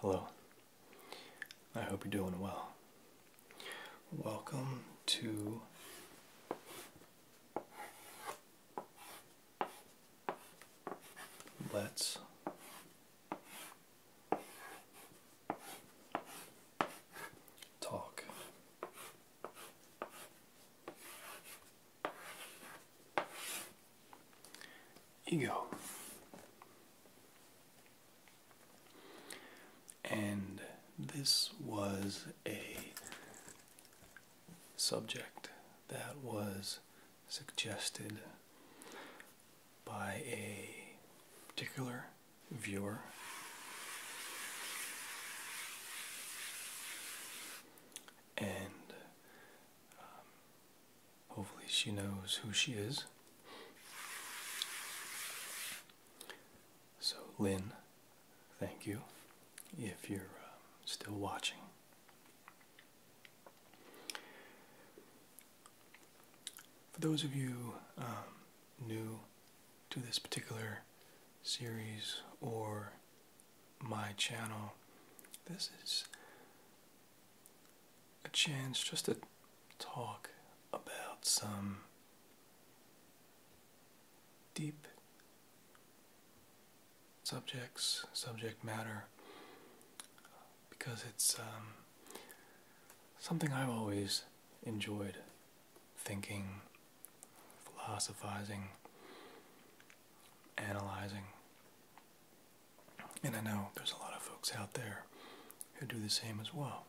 Hello. I hope you're doing well. Welcome to Let's Talk ego. And this was a subject that was suggested by a particular viewer. And um, Hopefully, she knows who she is. So, Lynn, thank you if you're um, still watching. For those of you um, new to this particular series or my channel, this is a chance just to talk about some deep subjects, subject matter, because it's um, something I've always enjoyed thinking, philosophizing, analyzing. And I know there's a lot of folks out there who do the same as well.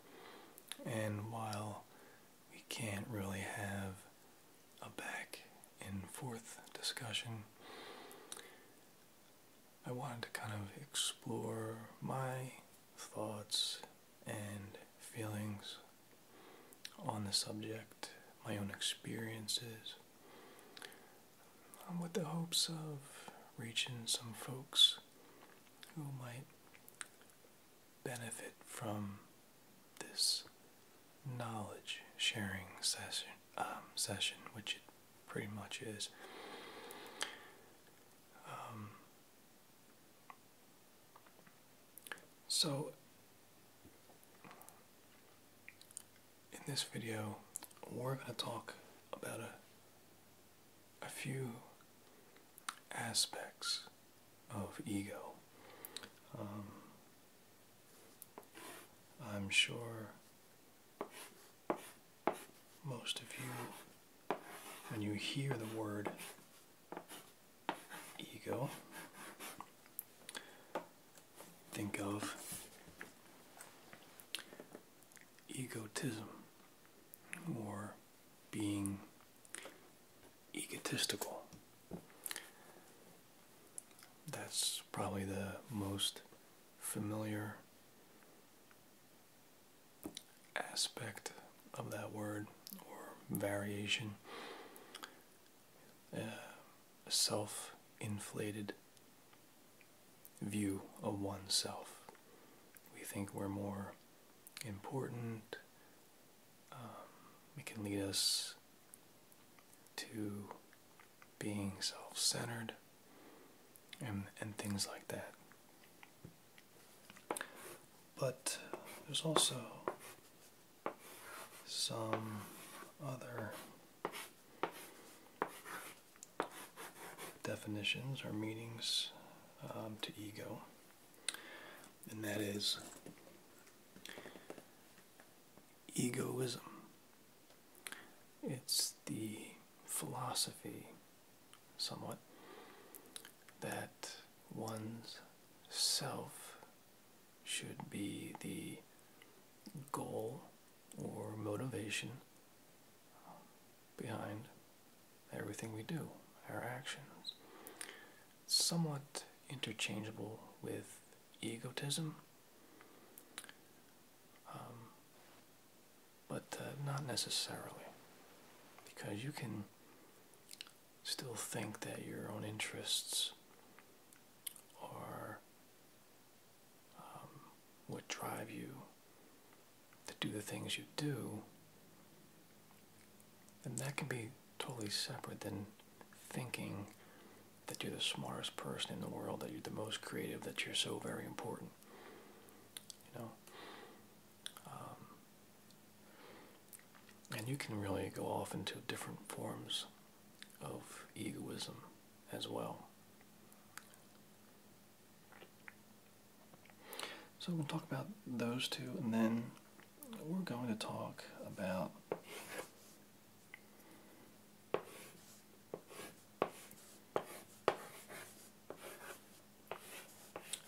And while we can't really have a back and forth discussion, I wanted to kind of explore my thoughts and feelings on the subject, my own experiences, with the hopes of reaching some folks who might benefit from this knowledge sharing session, um, session which it pretty much is. Um, so in this video, we're going to talk about a, a few aspects of ego. Um, I'm sure most of you, when you hear the word ego, think of egotism or being egotistical. That's probably the most familiar aspect of that word or variation. Uh, Self inflated view of oneself. We think we're more important. Um, it can lead us to being self centered and, and things like that. But there's also some other definitions or meanings um, to ego, and that is egoism. It's the philosophy, somewhat, that one's self should be the goal or motivation behind everything we do, our actions. somewhat interchangeable with egotism, um, but uh, not necessarily, because you can still think that your own interests are um, what drive you to do the things you do, And that can be totally separate than thinking that you're the smartest person in the world, that you're the most creative, that you're so very important. You know? Um, and you can really go off into different forms of egoism as well. So we'll talk about those two, and then we're going to talk about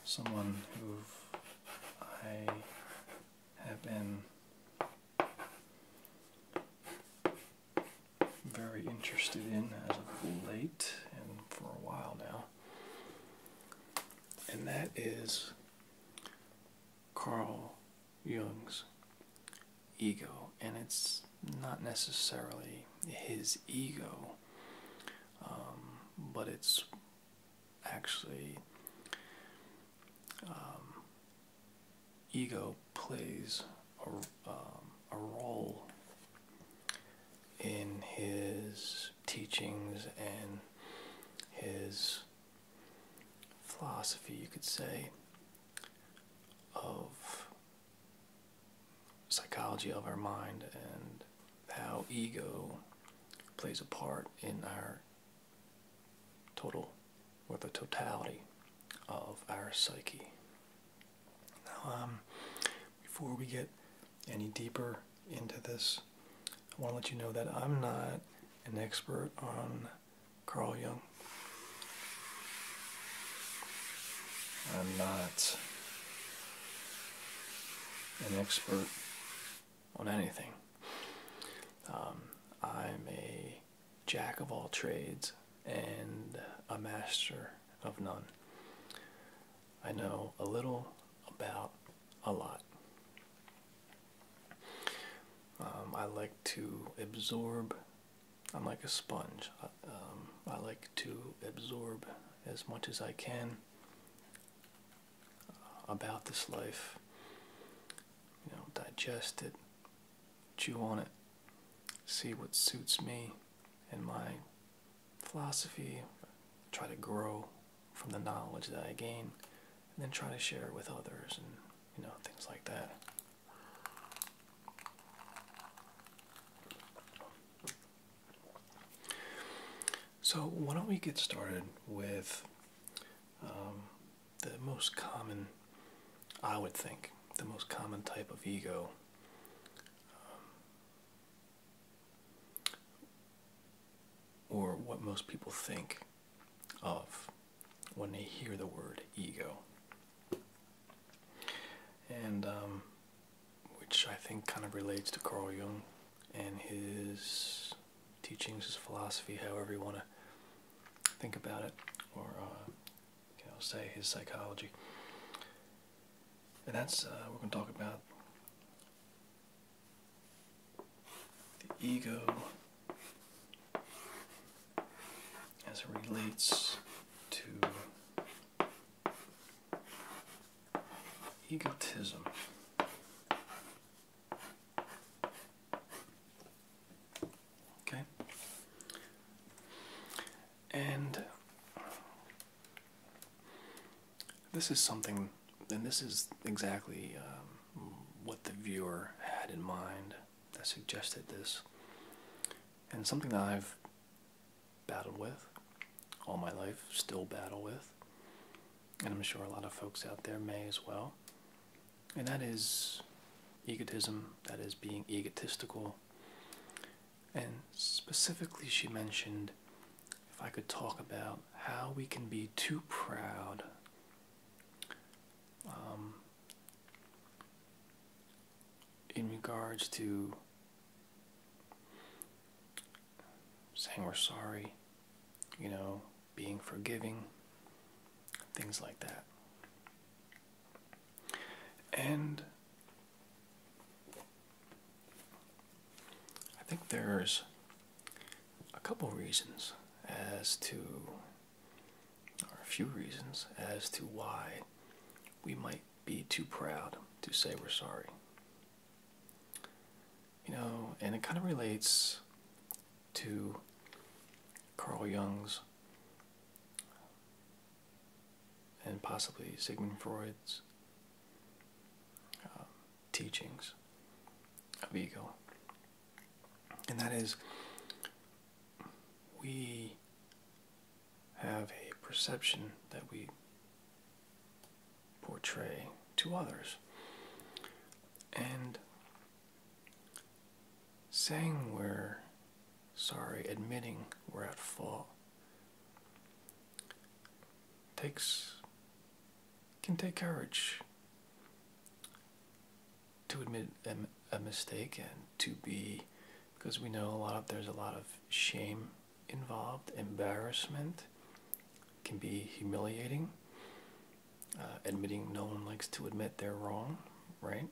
someone who I have been very interested in as of late and for a while now, and that is Carl Jung's ego, and it's not necessarily his ego, um, but it's actually um, ego plays a, um, a role in his teachings and his philosophy, you could say, of psychology of our mind and how ego plays a part in our total or the totality of our psyche. Now, um, before we get any deeper into this, I want to let you know that I'm not an expert on Carl Jung. I'm not an expert on anything. Um, I'm a jack of all trades and a master of none. I know a little about a lot. Um, I like to absorb, I'm like a sponge. I um, like to absorb as much as I can uh, about this life, you know, digest it, chew on it, see what suits me and my philosophy, try to grow from the knowledge that I gain, and then try to share it with others and you know things like that. So why don't we get started with um, the most common, I would think, the most common type of ego um, or what most people think of when they hear the word ego. And um, which I think kind of relates to Carl Jung and his teachings, his philosophy, however you want to think about it or uh, I'll say his psychology. And that's, uh, we're going to talk about the ego as it relates to egotism. Okay? And this is something, and this is exactly um, what the viewer had in mind that suggested this, and something that I've battled with all my life, still battle with, and I'm sure a lot of folks out there may as well, and that is egotism, that is being egotistical, and specifically, she mentioned if I could talk about how we can be too proud. Um, in regards to saying we're sorry, you know, being forgiving, things like that. And I think there's a couple reasons as to, or a few reasons as to why we might be too proud to say we're sorry. You know, and it kind of relates to Carl Jung's and possibly Sigmund Freud's um, teachings of ego. And that is, we have a perception that we portray to others. And saying we're sorry, admitting we're at fault takes can take courage to admit a, mistake and to be because we know a lot there's a lot of shame involved embarrassment can be humiliating uh, admitting no one likes to admit they're wrong right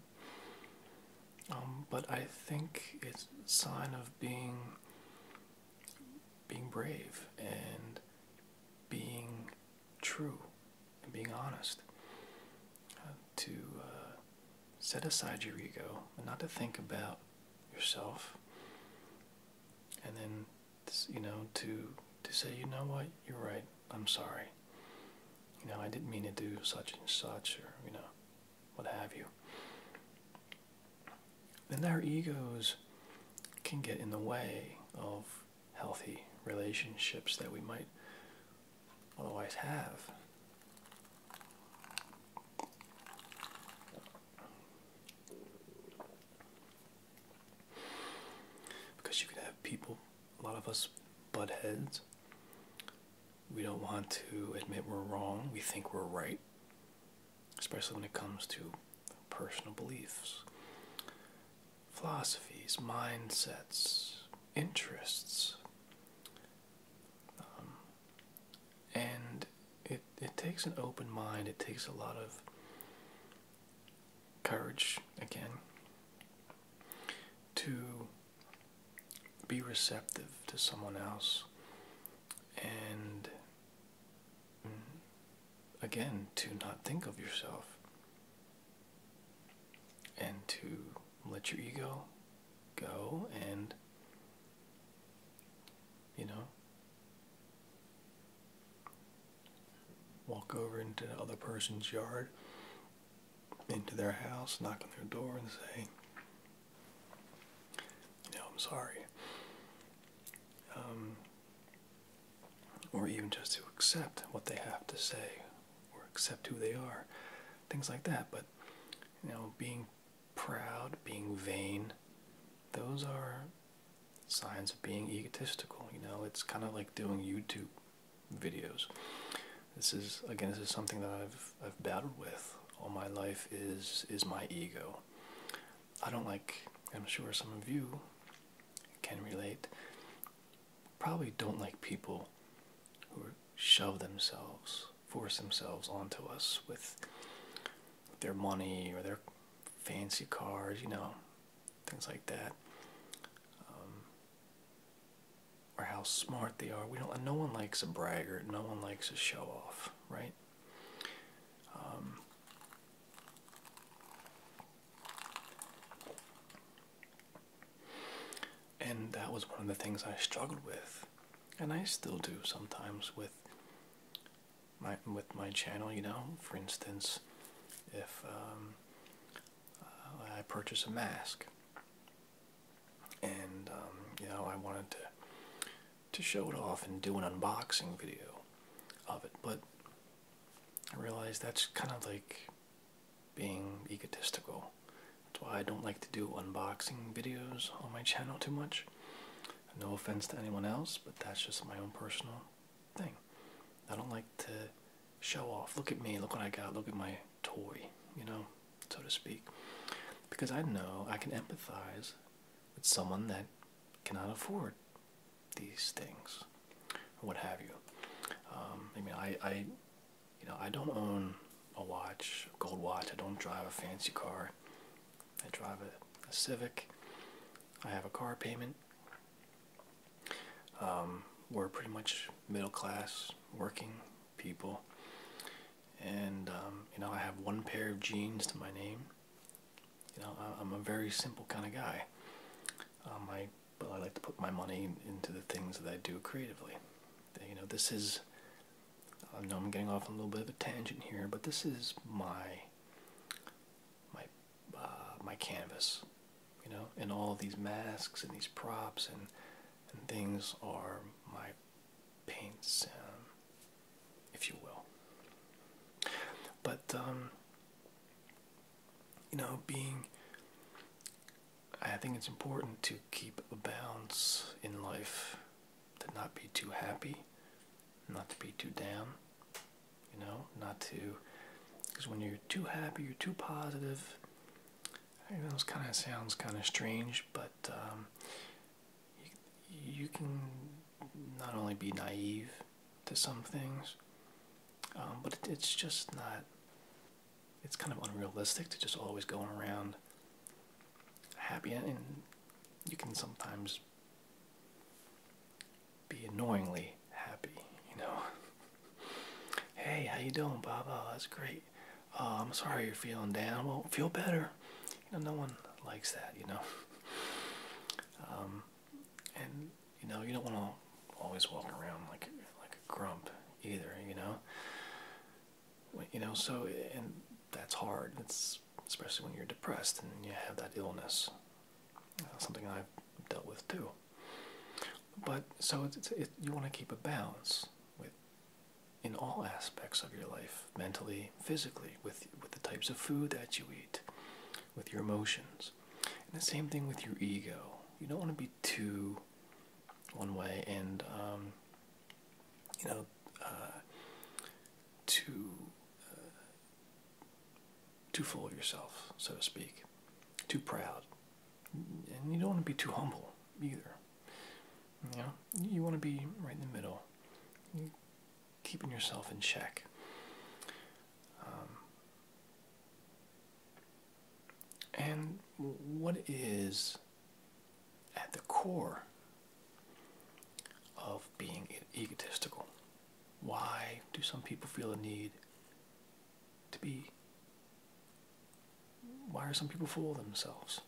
um, but I think it's a sign of being being brave and being true and being honest uh, to uh, set aside your ego and not to think about yourself and then you know to to say you know what you're right i'm sorry you know i didn't mean to do such and such or you know what have you, then our egos can get in the way of healthy relationships that we might otherwise have. Because you can have people, a lot of us butt heads we don't want to admit we're wrong. We think we're right, especially when it comes to personal beliefs, philosophies, mindsets, interests. Um, and it, it takes an open mind, it takes a lot of courage, again, to be receptive to someone else and mm, again to not think of yourself and to let your ego go and you know walk over into the other person's yard into their house knock on their door and say you I'm sorry. Um, or even just to accept what they have to say or accept who they are, things like that. But, you know, being proud, being vain, those are signs of being egotistical. You know, it's kind of like doing YouTube videos. This is, again, this is something that I've, I've battled with all my life is is my ego. I don't like, I'm sure some of you can relate, probably don't like people who show themselves, force themselves onto us with their money or their fancy cars, you know, things like that. Um, or how smart they are. We don't. No one likes a braggart. No one likes a show off, right? Um, and that was one of the things I struggled with, and I still do sometimes with my with my channel. You know, for instance, if um, uh, I purchase a mask, and um, you know I wanted to to show it off and do an unboxing video of it, but I realize that's kind of like being egotistical. That's why I don't like to do unboxing videos on my channel too much. No offense to anyone else, but that's just my own personal thing. I don't like to show off. Look at me, look what I got, look at my toy, you know, so to speak. Because I know I can empathize with someone that cannot afford these things, what have you. Um, I mean, I, you know, I don't own a watch, gold watch. I don't drive a fancy car. I drive a, Civic. I have a car payment. Um, we're pretty much middle class, working people and um, you know I have one pair of jeans to my name. You know I'm a very simple kind of guy. Um, well I like to put my money into the things that I do creatively. You know this is I know I'm getting off on a little bit of a tangent here, but this is my my uh, my canvas. You know, and all these masks and these props and and things are my paints, um, if you will. But, um, you know, being, I think it's important to keep a balance in life, to not be too happy, not to be too down, you know, not to, because when you're too happy, you're too positive. I know it kind of sounds kind of strange, but um, you, can not only be naive to some things, um, but it's just not. It's kind of unrealistic to just always going around happy, and you can sometimes be annoyingly happy. You know, hey, how you doing, Baba? Oh, that's great. Uh, I'm sorry you're feeling down. Will feel better you know, no one likes that, you know. Um, and you know, you don't want to always walk around like like a grump either, you know. you know, so and that's hard. It's especially when you're depressed and you have that illness. something I've dealt with too. But so it's, it's you want to keep a balance with in all aspects of your life, mentally, physically, with with the types of food that you eat, with your emotions. And the same thing with your ego. You don't want to be too one way and um, you know uh, too uh, too full of yourself, so to speak, too proud, and you don't want to be too humble either. You know, you want to be right in the middle keeping yourself in check. Um, and what is at the core of being egotistical? Why do some people feel a need to be? Why are some people fooling themselves?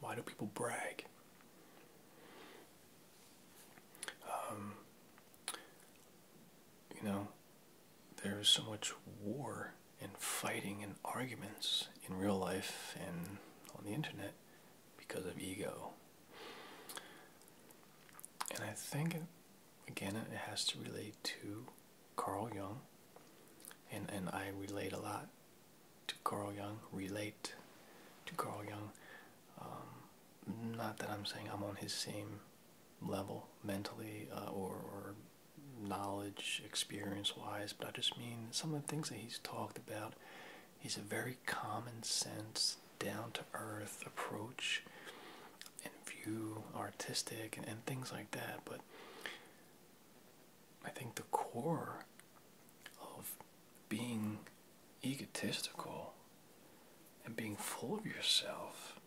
Why do people brag? Um, you know, there's so much war and fighting and arguments in real life and on the internet because of ego. And I think again, it has to relate to Carl Young, and and I relate a lot to Carl Young. Relate to Carl Young. Um, not that I'm saying I'm on his same level mentally uh, or, or knowledge, experience-wise, but I just mean some of the things that he's talked about. He's a very common sense, down to earth approach and view artistic and, and things like that but i think the core of being egotistical and being full of yourself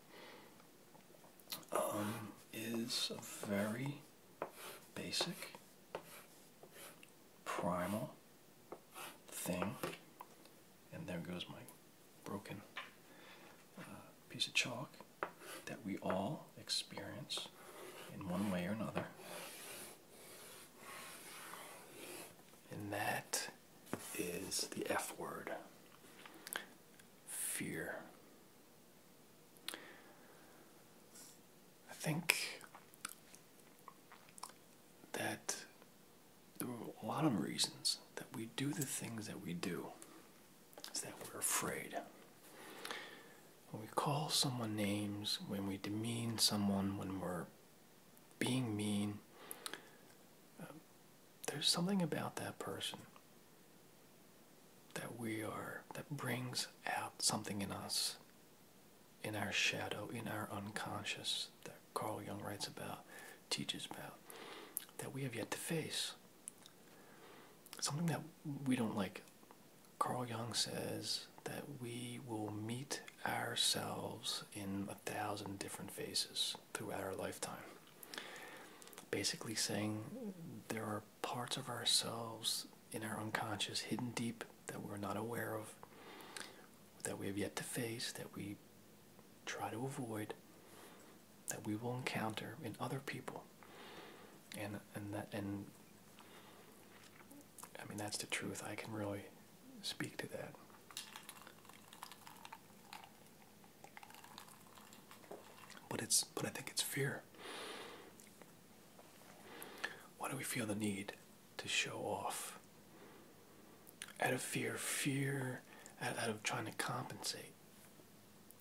um, is a very basic primal thing and there goes my broken uh, piece of chalk that we all experience in one way or another. And that is the F word fear. I think that there are a lot of reasons that we do the things that we do is that we're afraid. When we call someone names, when we demean someone, when we're being mean, uh, there's something about that person that we are, that brings out something in us, in our shadow, in our unconscious, that Carl Jung writes about, teaches about, that we have yet to face. Something that we don't like. Carl Jung says that we will meet ourselves in a thousand different faces throughout our lifetime. Basically, saying there are parts of ourselves in our unconscious hidden deep that we're not aware of, that we have yet to face, that we try to avoid, that we will encounter in other people and and that and I mean that's the truth I can really speak to that but it's but I think it's fear why do we feel the need to show off out of fear fear out, out of trying to compensate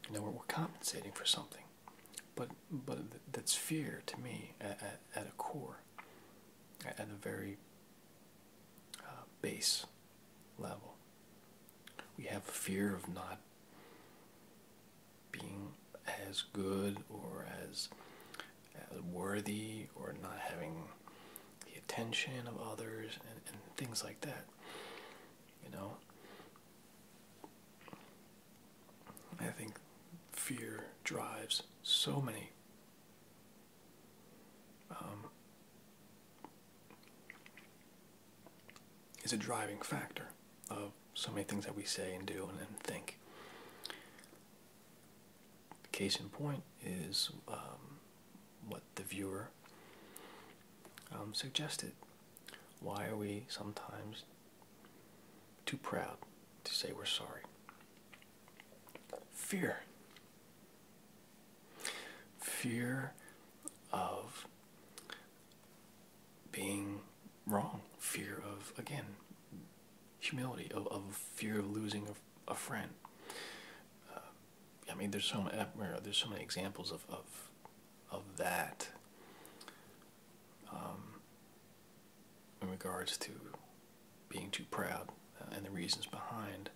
you know, we're, compensating for something, but but that's fear to me at, at, a core, at, at a very uh, base level. We have fear of not being as good or as, as worthy or not having the attention of others and, and things like that. You know, I think fear drives so many um, is a driving factor of so many things that we say and do and, think. Case in point is um, what the viewer um, suggested why are we sometimes too proud to say we're sorry? Fear. Fear of being wrong. Fear of, again, humility, of, fear of losing a, friend. Uh, I mean, there's so, many, uh, there's so many examples of of that um, in regards to being too proud uh, and the reasons behind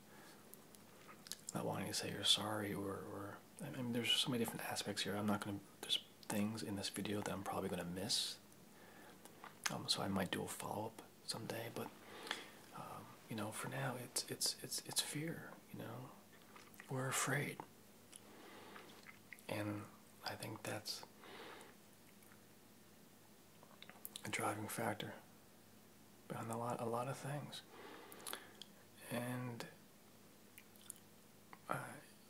not wanting to say you're sorry or, or I mean, there's so many different aspects here. I'm not going to, there's things in this video that I'm probably going to miss. Um, so I might do a follow-up someday, but, um, you know, for now, it's, it's, it's, it's fear, you know, we're afraid. And I think that's a driving factor behind a lot, a lot of things. And, uh,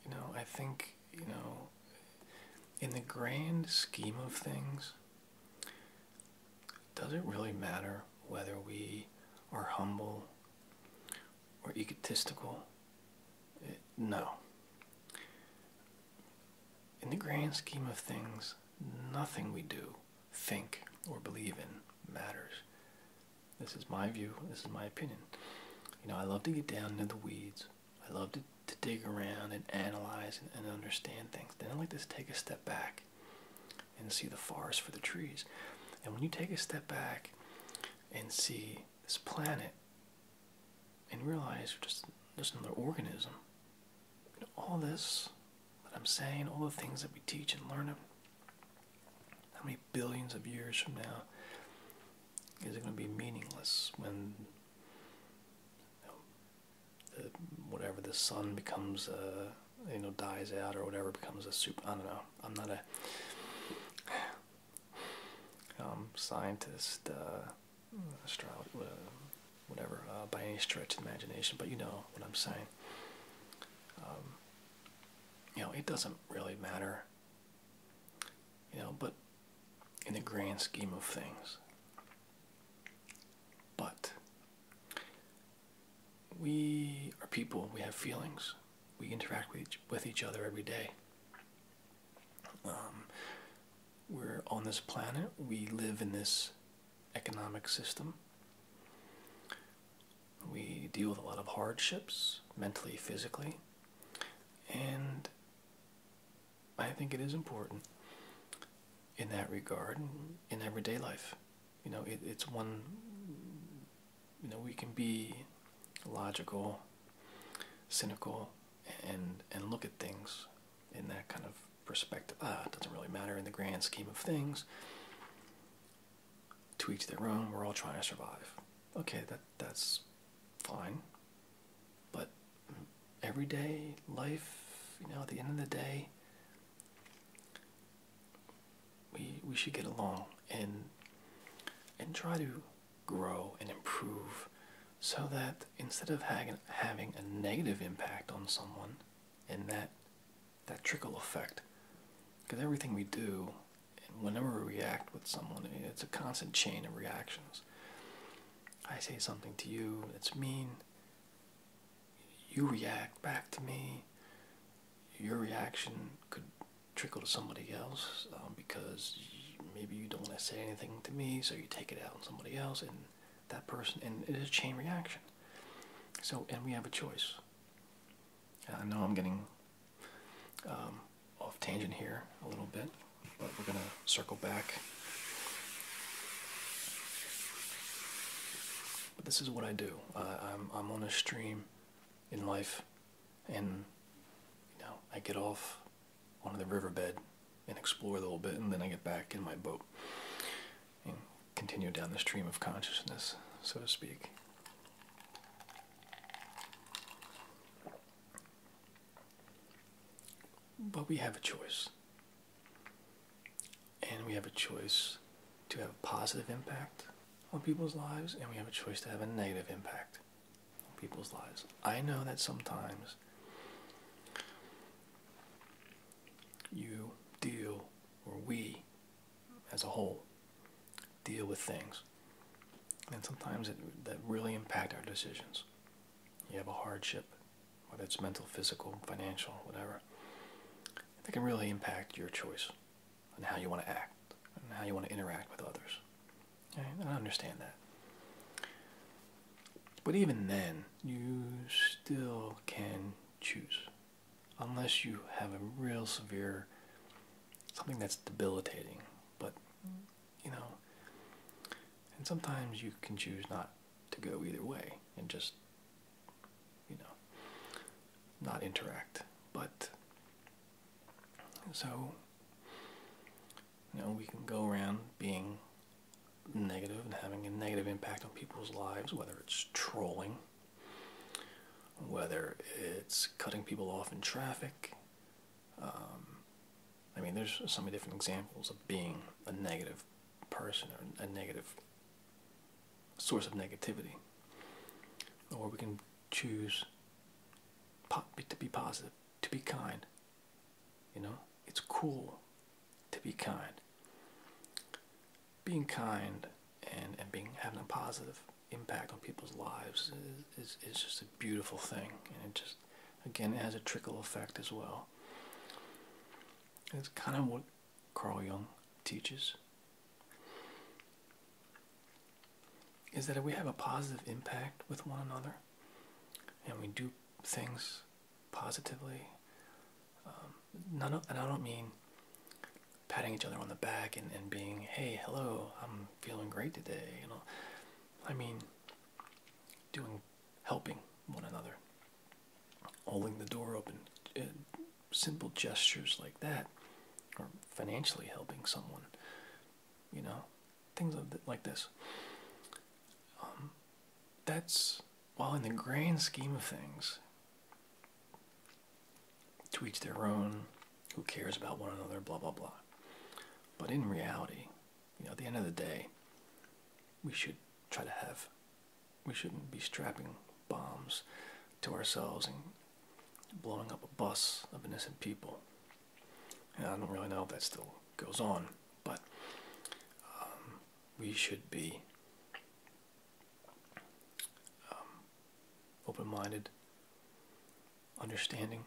you know, I think, you know, in the grand scheme of things, does it really matter whether we are humble or egotistical. Uh, no. In the grand scheme of things, nothing we do, think, or believe in matters. This is my view, this is my opinion. You know, I love to get down into the weeds. I love to, to dig around and analyze and understand things. Then I like to take a step back and see the forest for the trees. And when you take a step back and see this planet and realize you're just just another organism. all this that I'm saying, all the things that we teach and learn, how many billions of years from now is it going to be meaningless when whatever the sun becomes, uh, you know, dies out or whatever becomes a super? I don't know. I'm not a um, scientist, uh, uh whatever, uh, by any stretch of imagination, but you know what I'm saying. Um, you know, it doesn't really matter, you know, but in the grand scheme of things. But we are people, we have feelings we interact with each, other every day. Um, we're on this planet, we live in this economic system. We deal with a lot of hardships, mentally, physically, and I think it is important in that regard in everyday life. You know, it's one you know we can be logical, cynical, and and look at things in that kind of perspective. Ah, it doesn't really matter in the grand scheme of things. To each their own. We're all trying to survive. Okay, that that's fine. But everyday life, you know, at the end of the day, we we should get along and and try to grow and improve so that instead of having a negative impact on someone and that that trickle effect because everything we do whenever we react with someone it's a constant chain of reactions i say something to you it's mean you react back to me your reaction could trickle to somebody else um, because maybe you don't want to say anything to me, so you take it out on somebody else and that person, and it is chain reaction. So, and we have a choice. I know I'm getting um, off tangent here a little bit, but we're going to circle back. But this is what I do. I'm, I'm on a stream in life and you know I get off onto the riverbed and explore a little bit, and then I get back in my boat and continue down the stream of consciousness, so to speak. But we have a choice. And we have a choice to have a positive impact on people's lives, and we have a choice to have a negative impact people's lives. I know that sometimes you deal, or we as a whole, deal with things. And sometimes that really impact our decisions. You have a hardship, whether it's mental, physical, financial, whatever. That can really impact your choice and how you want to act and how you want to interact with others. I understand that. But even then, you still can choose. Unless you have a real severe, something that's debilitating. But, you know, and sometimes you can choose not to go either way and just, you know, not interact. But so, you know, we can go around being negative and having a negative impact on people's lives, whether it's trolling, whether it's cutting people off in traffic. Um, I mean, there's so many different examples of being a negative person or a negative source of negativity. Or we can choose to be positive, to be kind. You know, it's cool to be kind. Being kind and, and being having a positive impact on people's lives is, is, just a beautiful thing. And just, again, it has a trickle effect as well. And it's kind of what Carl Jung teaches is that if we have a positive impact with one another and we do things positively. Um, and I don't mean patting each other on the back and, being, hey, hello, I'm feeling great today. You know, I mean, doing, helping one another, holding the door open, uh, simple gestures like that, or financially helping someone, you know, things like this. Um, that's while in the grand scheme of things, to each their own. Who cares about one another? Blah blah blah. But in reality, you know, at the end of the day, we should try to have. We shouldn't be strapping bombs to ourselves and blowing up a bus of innocent people. I don't really know if that still goes on, but um, we should be um, open minded, understanding,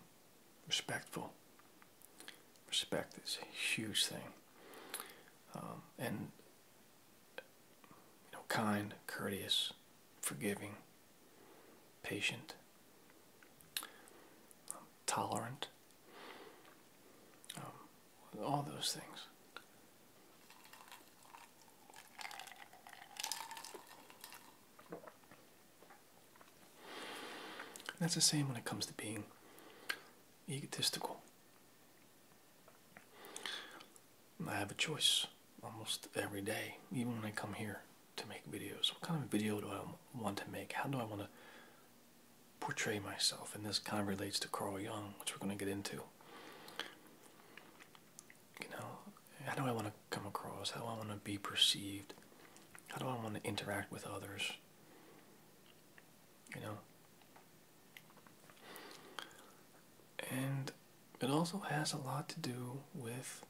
respectful. Respect is a huge thing. Um, and you know, kind, courteous, forgiving, patient, um, tolerant, um, all those things. That's the same when it comes to being egotistical. I have a choice almost every day, even when I come here to make videos? What kind of video do I want to make? How do I want to portray myself? And this kind of relates to Carl Jung, which we're going to get into. You know, how do I want to come across? How do I want to be perceived? How do I want to interact with others? You know? And it also has a lot to do with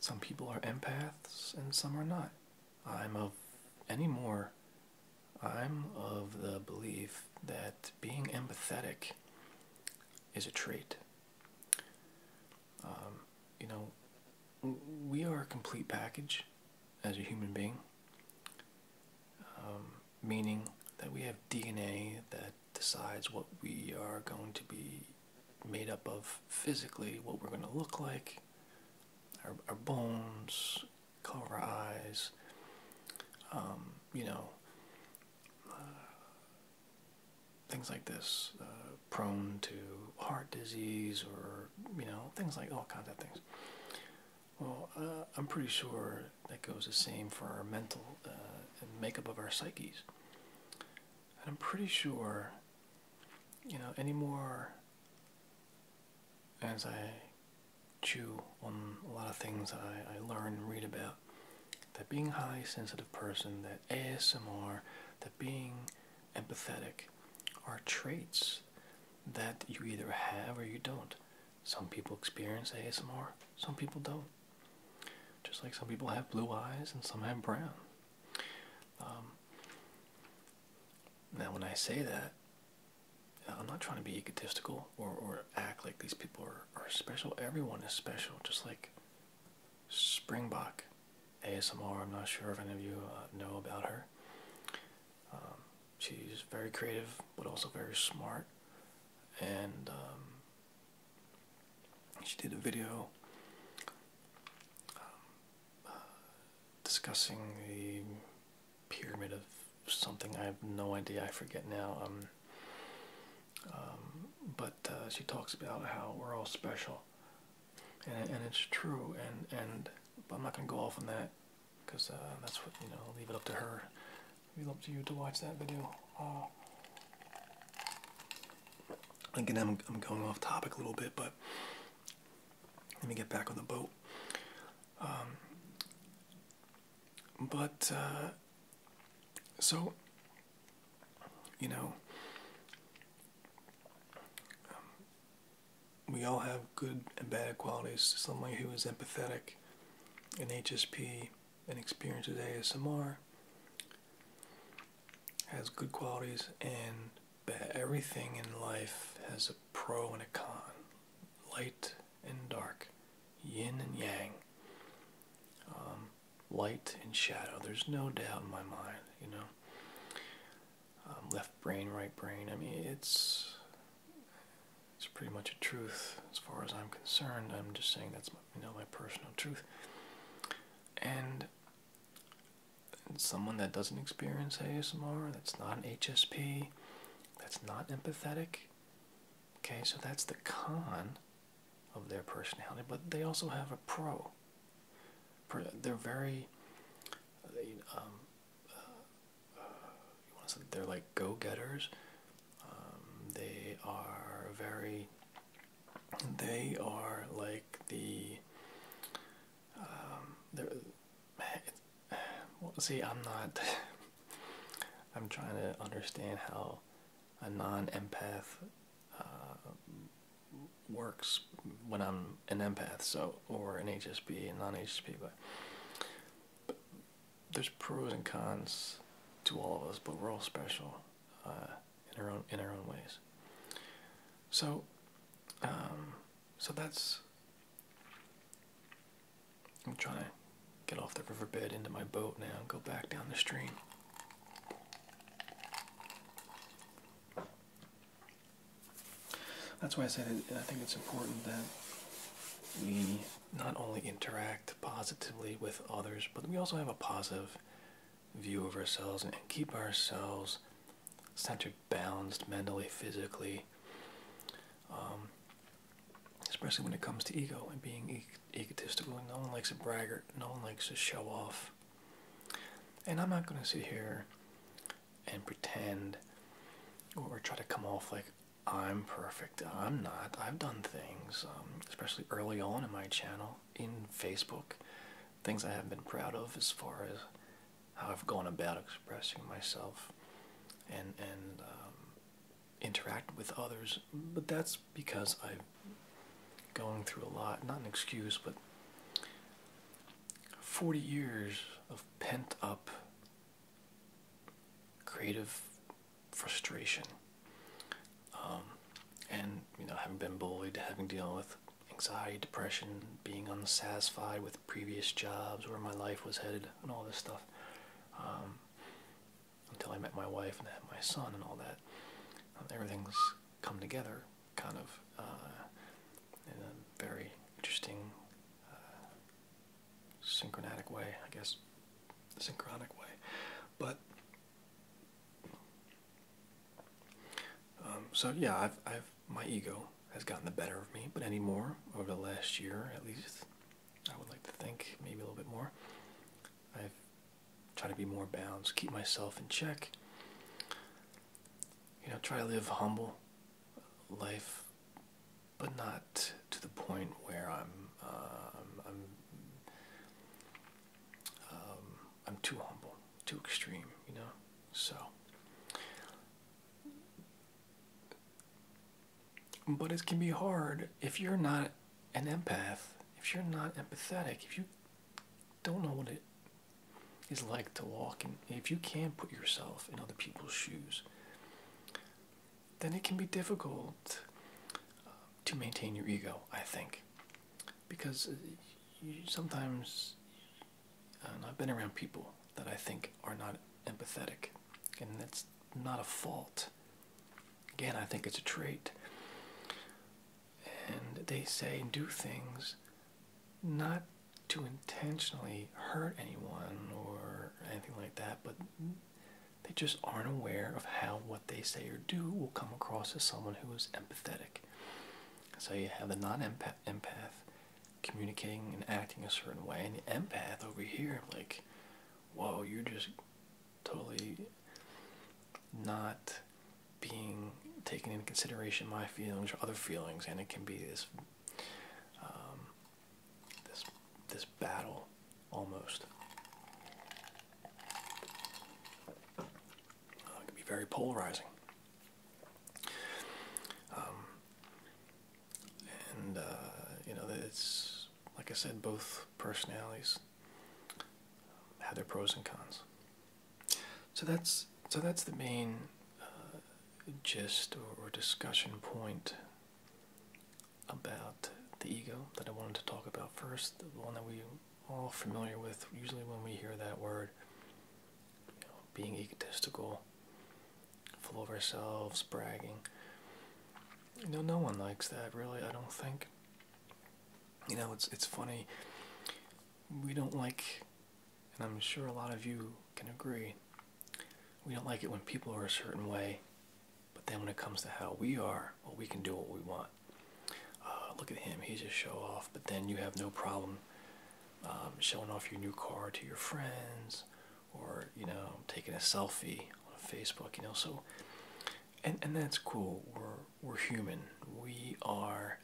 some people are empaths and some are not. I'm of any more I'm of the belief that being empathetic is a trait. Um, you know, we are a complete package as a human being, um, meaning that we have DNA that decides what we are going to be made up of physically, what we're going to look like, our, bones, color our eyes, um, you know, uh, things like this, uh, prone to heart disease or, you know, things like all kinds of things. Well, uh, I'm pretty sure that goes the same for our mental makeup of our psyches. And I'm pretty sure, you know, anymore as I chew on a lot of things I, learn and read about, that being highly sensitive person, that ASMR, that being empathetic are traits that you either have or you don't. Some people experience ASMR, some people don't. Just like some people have blue eyes and some have brown. Um, now, when I say that, I'm not trying to be egotistical or, or act like these people are, are special. Everyone is special, just like Springbok ASMR. I'm not sure if any of you uh, know about her. Um, she's very creative, but also very smart. And um, she did a video um, uh, discussing the pyramid of something. I have no idea. I forget now. Um, um, but uh, she talks about how we're all special, and it's true. And I'm not gonna go off on that because uh, that's what you know. leave it up to her. Leave it up to you to watch that video again, I'm, I'm going off topic a little bit, but let me get back on the boat. Um, but uh, so you know, um, we all have good and bad qualities. Someone who is empathetic, an HSP, and experienced ASMR, has good qualities and Everything in life has a pro and a con, light and dark, yin and yang, um, light and shadow. There's no doubt in my mind, you know. Um, left brain, right brain. I mean, it's it's pretty much a truth as far as I'm concerned. I'm just saying that's my, you know my personal truth, and someone that doesn't experience ASMR, that's not an HSP, that's not empathetic. Okay, so that's the con of their personality, but they also have a pro. They're very, um, uh, uh, they're like go-getters. Um, they are very they are like the um, see I'm not I'm trying to understand how a non-empath uh, works when I'm an empath so or an HSB, and non hsb but there's pros and cons to all of us but we're all special uh, in our own in our own ways. So, um, so that's. I'm trying to get off the riverbed into my boat now and go back down the stream. That's why I say that I think it's important that we not only interact positively with others, but we also have a positive view of ourselves and keep ourselves centered, balanced mentally, physically, um, especially when it comes to ego and being egotistical. No one likes a braggart, no one likes to show off. And I'm not going to sit here and pretend or try to come off like I'm perfect. I'm not. I've done things, um, especially early on in my channel in Facebook. Things I have been proud of as far as how I've gone about expressing myself and and um, interact with others. But that's because I'm going through a lot. Not an excuse, but 40 years of pent up creative frustration. Um, and you know having been bullied having dealing with anxiety, depression, being unsatisfied with previous jobs, where my life was headed, and all this stuff. Um, until I met my wife and had my son and all that, um, everything's come together, kind of uh, in a very interesting, uh, synchronatic way, I guess, synchronic way. But um, so yeah, I've, my ego has gotten the better of me, but anymore over the last year at least, I would like to think maybe a little bit more. I've tried to be more balanced, keep myself in check. You know, try to live humble life, but not to the point where I'm, um, I'm um, I'm too humble, too extreme, you know. So, but it can be hard if you're not an empath, if you're not empathetic, if you don't know what it is like to walk, and if you can't put yourself in other people's shoes, then it can be difficult uh, to maintain your ego, I think because uh, sometimes I I've been around people that I think are not empathetic, and that's not a fault. Again, I think it's a trait, and they say and do things not to intentionally hurt anyone or anything like that, but they just aren't aware of how what they say or do will come across as someone who is empathetic. So you have the non-empath communicating and acting a certain way, and the empath over here, like, whoa, you're just totally not being taking into consideration my feelings or other feelings, and it can be this, um, this, this battle, almost. Uh, it can be very polarizing. Um, and, uh, you know, it's, like I said, both personalities have their pros and cons. So that's, so that's the main uh, gist or, or discussion point about the ego that I wanted to talk about first, the one that we all familiar with usually when we hear that word. being egotistical, full of ourselves, bragging. You know, no one likes that really, I don't think. You know, it's it's funny. We don't like and I'm sure a lot of you can agree. We don't like it when people are a certain way, but then when it comes to how we are, well, we can do what we want. Uh, look at him, he's a show off, but then you have no problem um, showing off your new car to your friends or you know taking a selfie on facebook you know so and and that's cool we're we're human we are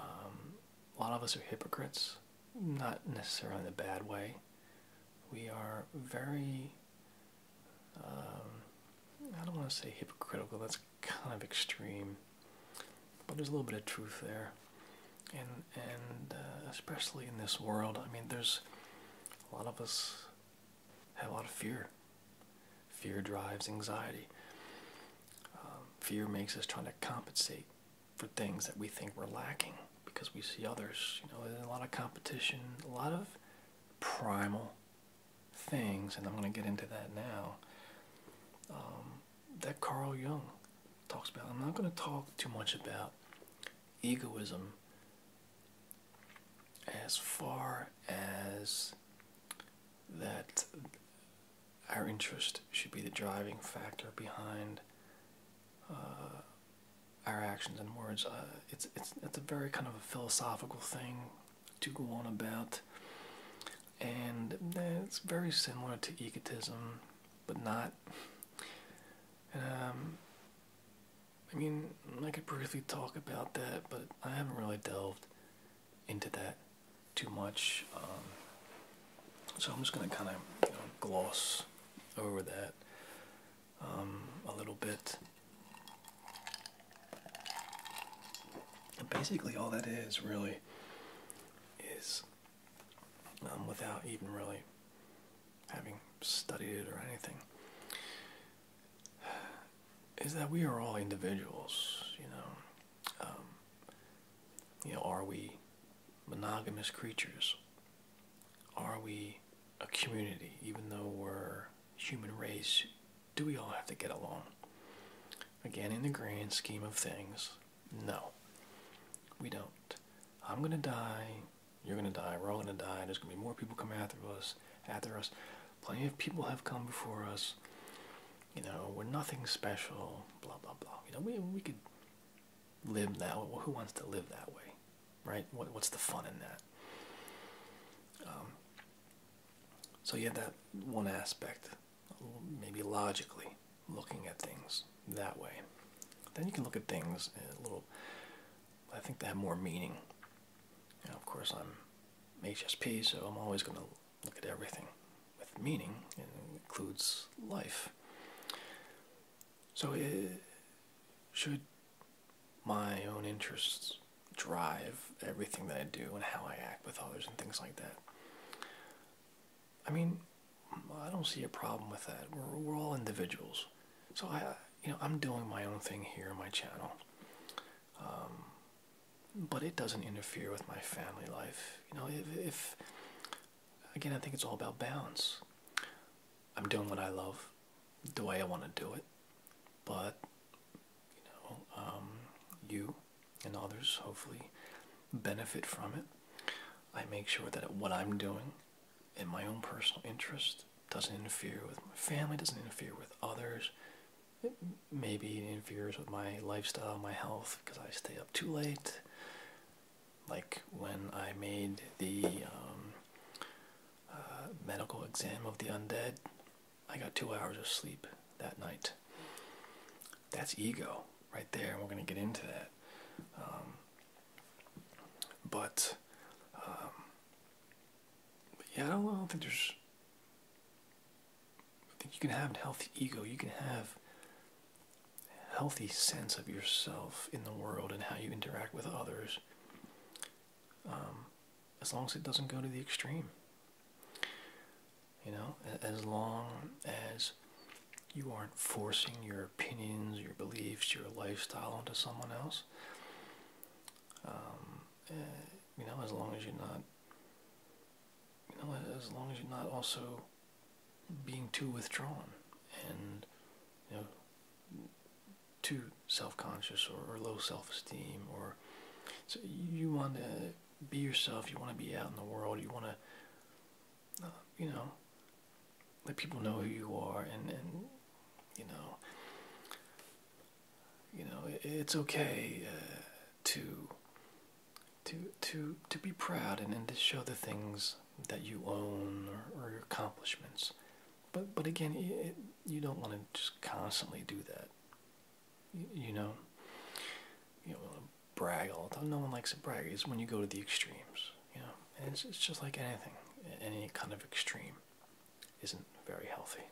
um, a lot of us are hypocrites not necessarily in a bad way we are very um, i don't want to say hypocritical that's kind of extreme, but there's a little bit of truth there, and and uh, especially in this world, I mean, there's a lot of us have a lot of fear. Fear drives anxiety. Um, fear makes us trying to compensate for things that we think we're lacking because we see others. You know, there's a lot of competition, a lot of primal things, and I'm going to get into that now. Um, that Carl Jung talks about. I'm not going to talk too much about egoism as far as that our interest should be the driving factor behind uh, our actions and words. Uh, it's, it's, it's a very kind of a philosophical thing to go on about and it's very similar to egotism, but not. Um, I mean, I could briefly talk about that, but I haven't really delved into that too much. Um, so I'm just going to kind of gloss over that um, a little bit. basically, all that is really is um, without even really having studied it or anything is that we are all individuals, you know. Um, you know, are we monogamous creatures? Are we a community, even though we're human race? Do we all have to get along? Again, in the grand scheme of things, no, we don't. I'm gonna die. You're gonna die. We're all gonna die. There's gonna be more people coming after us. After us, plenty of people have come before us. You know, we're nothing special. Blah blah blah. You know, we we could live that. who wants to live that way, right? What what's the fun in that? Um, so yeah, that one aspect maybe logically looking at things that way. Then you can look at things a little, I think they have more meaning. of course, I'm HSP, so I'm always going to look at everything with meaning, and it includes life. So, it, uh, should my own interests drive everything that I do and how I act with others and things like that? I mean, I don't see a problem with that. We're, all individuals. So I, you know, I'm doing my own thing here on my channel. Um, but it doesn't interfere with my family life. You know, if, again, I think it's all about balance. I'm doing what I love, the way I want to do it, but you know, um, you and others hopefully benefit from it. I make sure that what I'm doing in my own personal interest doesn't interfere with my family, doesn't interfere with others. maybe it interferes with my lifestyle, my health, because I stay up too late. Like when I made the um, uh, medical exam of the undead, I got two hours of sleep that night that's ego right there. We're going to get into that. Um, um, but, yeah, I don't, think there's. I think you can have a healthy ego. You can have a healthy sense of yourself in the world and how you interact with others. Um, as long as it doesn't go to the extreme. You know, as long as you aren't forcing your opinions, your beliefs, your lifestyle onto someone else, um, eh, you know, as long as you're not, you know, as long as you're not also being too withdrawn and, you know, too self-conscious or low self-esteem or so you want to be yourself. You want to be out in the world. You want to, uh, you know, let people know who you are, and and you know, you know, it's okay uh, to to to to be proud and, and to show the things that you own or, your accomplishments. But but again, you don't want to just constantly do that. You, know, you know brag all No one likes to brag. It's when you go to the extremes, you know. And it's, it's just like anything. Any kind of extreme isn't very healthy.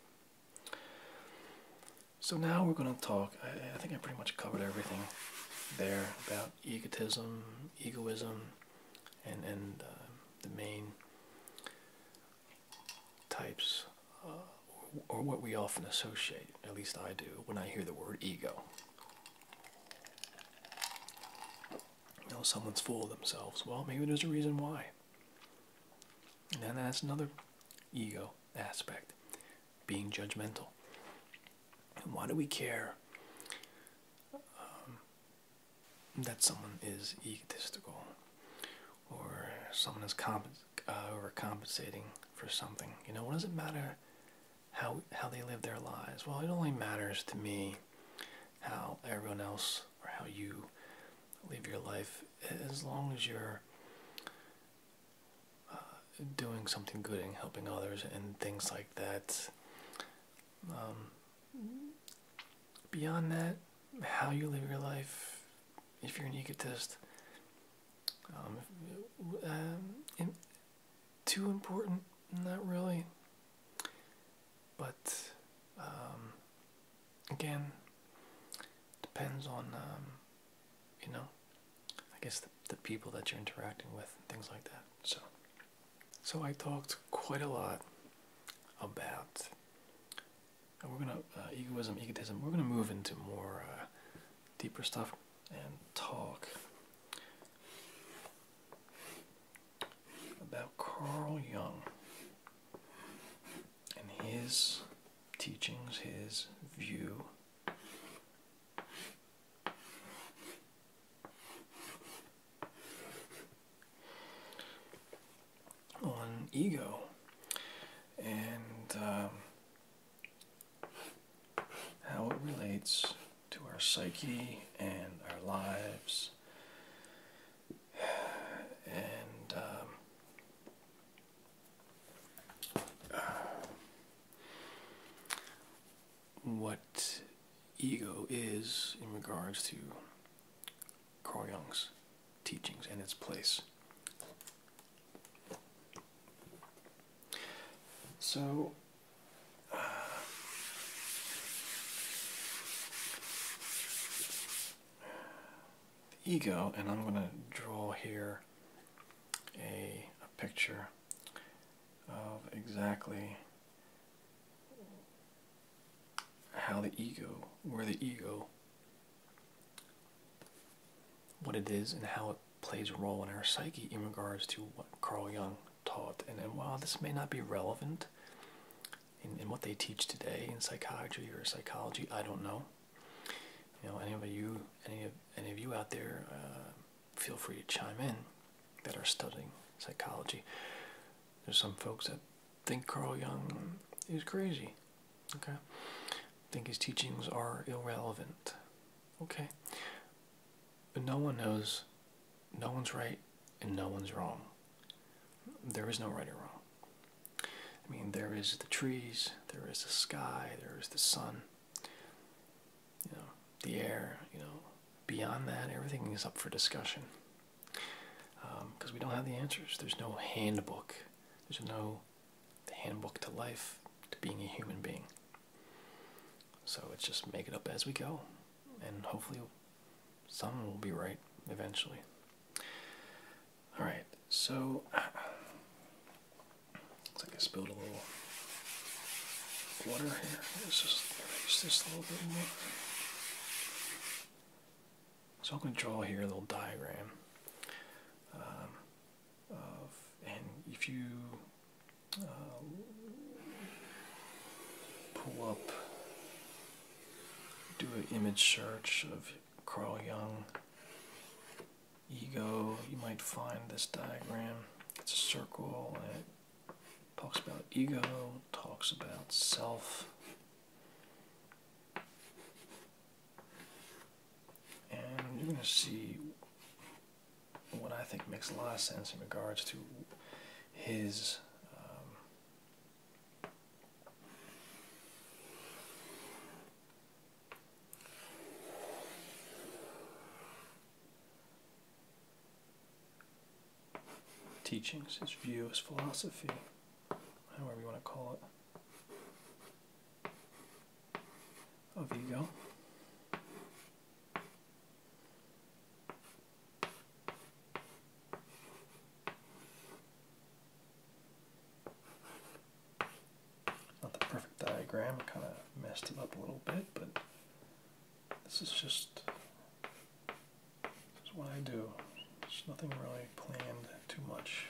So now we're going to talk. I, think I pretty much covered everything there about egotism, egoism, and and uh, the main types, uh, or what we often associate at least I do, when I hear the word ego. You know, someone's full of themselves. Well, maybe there's a reason why. And then that's another ego aspect being judgmental. And why do we care um, that someone is egotistical or someone is comp uh, overcompensating for something? You know, what does it matter how how they live their lives. Well, it only matters to me how everyone else or how you live your life as long as you're uh, doing something good and helping others and things like that. Um, beyond that, how you live your life, if you're an egotist, um, um, too important? Not really. But um, again, depends on you know, I guess the, people that you're interacting with and things like that. So, so I talked quite a lot about. we're gonna uh, egoism, egotism. We're gonna move into more uh, deeper stuff and talk about Carl Jung and his teachings, his view on ego and um, how it relates to our psyche and our lives, and um, what ego is in regards to Carl Jung's teachings and its place so, uh, the ego, and I'm going to draw here a, a picture of exactly how the ego, where the ego, what it is, and how it plays a role in our psyche in regards to what Carl Jung taught. And, and while this may not be relevant in, what they teach today in psychology or psychology, I don't know. You know, any of you, any of any of you out there, uh, feel free to chime in that are studying psychology. There's some folks that think Carl Jung is crazy. Okay, think his teachings are irrelevant. Okay. But no one knows, no one's right, and no one's wrong. There is no right or wrong. I mean, there is the trees, there is the sky, there is the sun, you know, the air, you know. Beyond that, everything is up for discussion. Because um, we don't have the answers. There's no handbook. There's no handbook to life, to being a human being. So it's just make it up as we go, and hopefully, someone will be right eventually. All right, so uh, looks like I spilled a little water here. Let's just erase this a little bit more. So I'm going to draw here a little diagram. Um, and if you uh, pull up, do an image search of Carl Jung ego, you might find this diagram. It's a circle and it talks about ego, talks about self. And you're going to see what I think makes a lot of sense in regards to his um, teachings, his view, his philosophy, however you want to call it. There you go. Not the perfect diagram, kind of messed it up a little bit, but this is just this is what I do. There's nothing really planned too much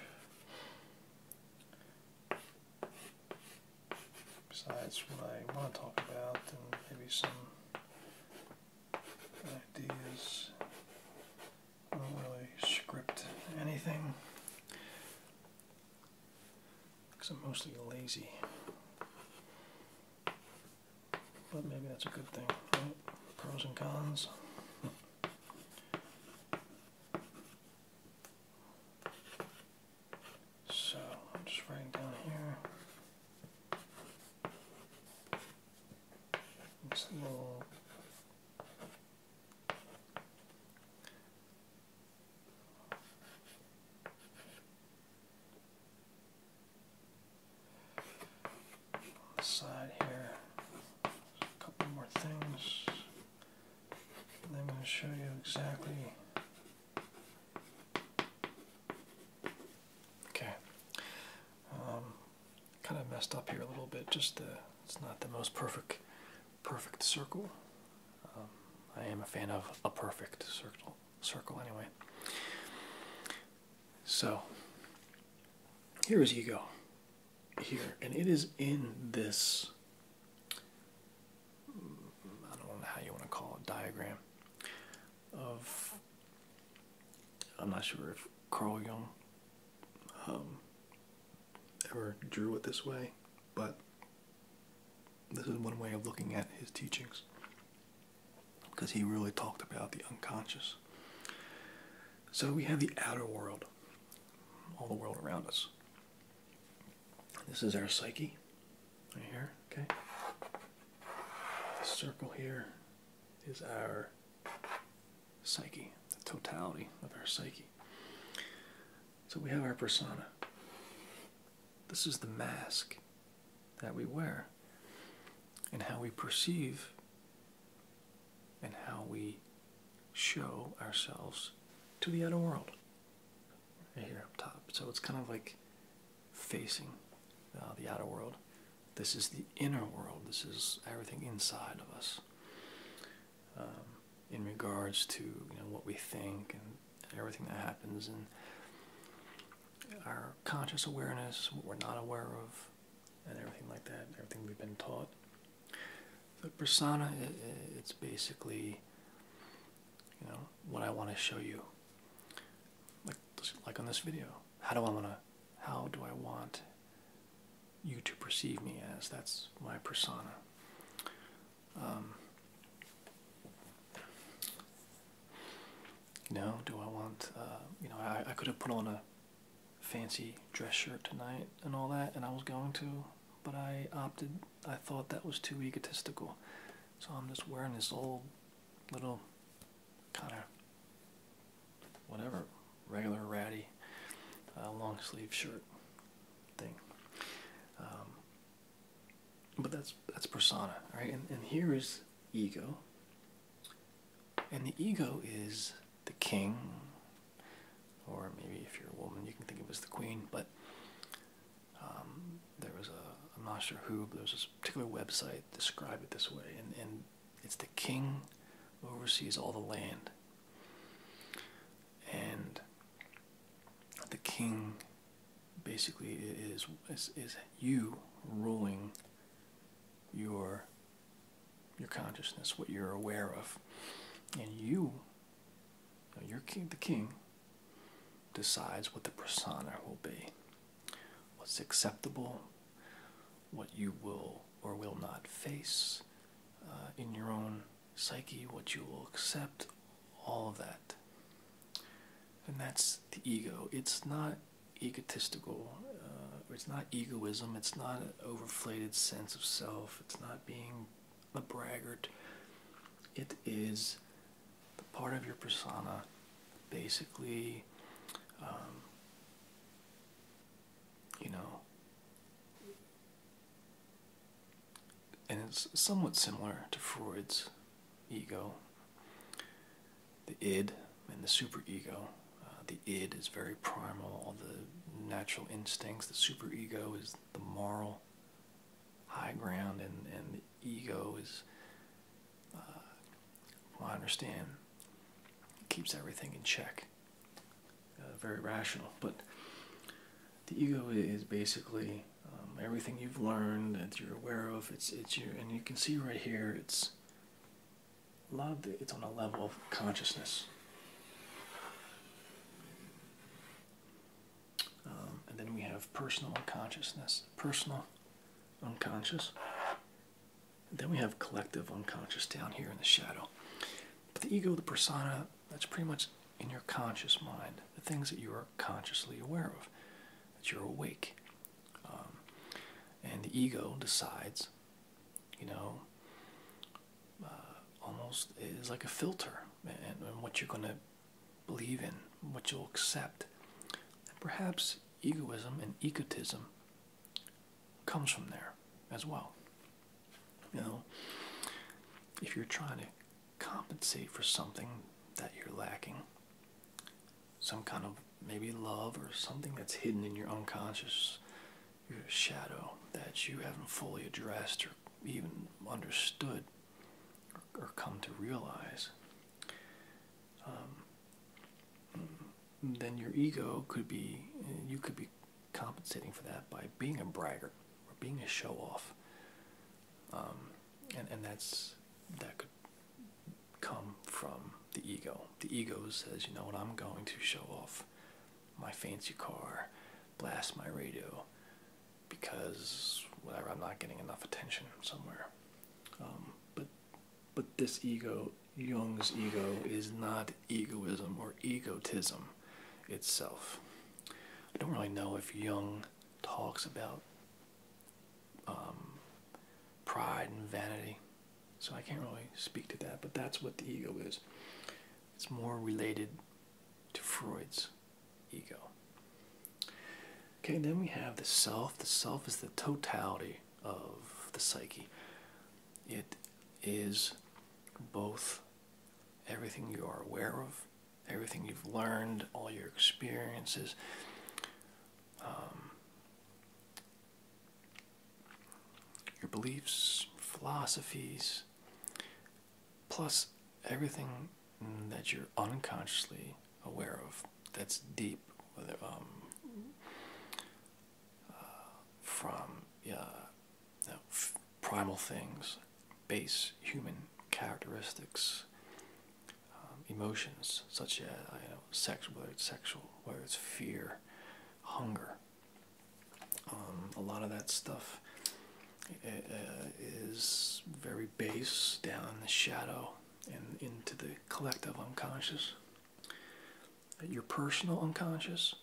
besides what I want to talk about and maybe some ideas. I don't really script anything because I'm mostly lazy. But maybe that's a good thing, right? Pros and cons. So I'm just writing down here. It's a little side here. a couple more things. And I'm going to show you exactly Okay. Um, kind of messed up here a little bit. Just it's not the most perfect, perfect circle. Um, I am a fan of a perfect circle, circle anyway. So here is ego here, and it is in this I don't know how you want to call it diagram of I'm not sure if Carl Jung um, ever drew it this way, but this is one way of looking at his teachings because he really talked about the unconscious. So we have the outer world, all the world around us. This is our psyche right here, okay? The circle here is our psyche, the totality of our psyche. So we have our persona. This is the mask that we wear and how we perceive and how we show ourselves to the outer world right here up top. So it's kind of like facing uh, the outer world. This is the inner world. This is everything inside of us. Um, in regards to you know what we think and everything that happens and our conscious awareness, what we're not aware of, and everything like that, everything we've been taught. The persona, it's basically you know what I want to show you like like on this video how do I want to how do I want you to perceive me as that's my persona um, you know do I want uh, you know I, I could have put on a fancy dress shirt tonight and all that and I was going to but I opted I thought that was too egotistical. So I'm just wearing this old little kind of whatever regular ratty uh, long sleeve shirt thing. Um, but that's that's persona, right? And, here is ego. And the ego is the king, or maybe if you're a woman, you can think of as the queen, but um, there was a, I'm not sure who, there was a particular website described it this way, and, and it's the king oversees all the land. And the king basically is, is, is you ruling your your consciousness, what you're aware of, and you, you're king, the king, decides what the persona will be, what's acceptable, what you will or will not face uh, in your own psyche, what you will accept, all of that. And that's the ego. It's not egotistical, uh, it's not egoism, it's not an overflated sense of self, it's not being a braggart. It is the part of your persona basically um, you know and it's somewhat similar to freud's ego the id and the superego uh, the id is very primal all the natural instincts the superego is the moral high ground and, and the ego is, uh, well, I understand, keeps everything in check. Uh, very rational, but the ego is basically um, everything you've learned that you're aware of. It's it's your and you can see right here. It's a lot of it's on a level of consciousness. Um, and then we have personal consciousness, personal unconscious. then we have collective unconscious down here in the shadow. But the ego, the persona, that's pretty much in your conscious mind, the things that you are consciously aware of, that you're awake. Um, and the ego decides, you know, uh, almost is like a filter and what you're going to believe in, what you'll accept. And perhaps egoism and egotism comes from there as well. You know, if you're trying to compensate for something that you're lacking, some kind of maybe love or something that's hidden in your unconscious, your shadow that you haven't fully addressed or even understood or, come to realize, um, then your ego could be, you could be compensating for that by being a braggart or being a show off. Um, and, and that's, that could come from the ego. The ego says, you know what, I'm going to show off my fancy car, blast my radio, because whatever I'm not getting enough attention somewhere. Um, but but this ego, Jung's ego, is not egoism or egotism itself. I don't really know if Jung talks about um, pride and vanity, so I can't really speak to that. But that's what the ego is. It's more related to Freud's ego. Okay, then we have the self. The self is the totality of the psyche. It is both everything you are aware of, everything you've learned, all your experiences. Um, your beliefs, philosophies, plus everything Mm, that you're unconsciously aware of that's deep whether um, uh, from uh, primal things base human characteristics um, emotions such as you know, sex whether it's sexual whether it's fear hunger um, a lot of that stuff uh, uh, is very base down in the shadow and into the collective unconscious. Your personal unconscious,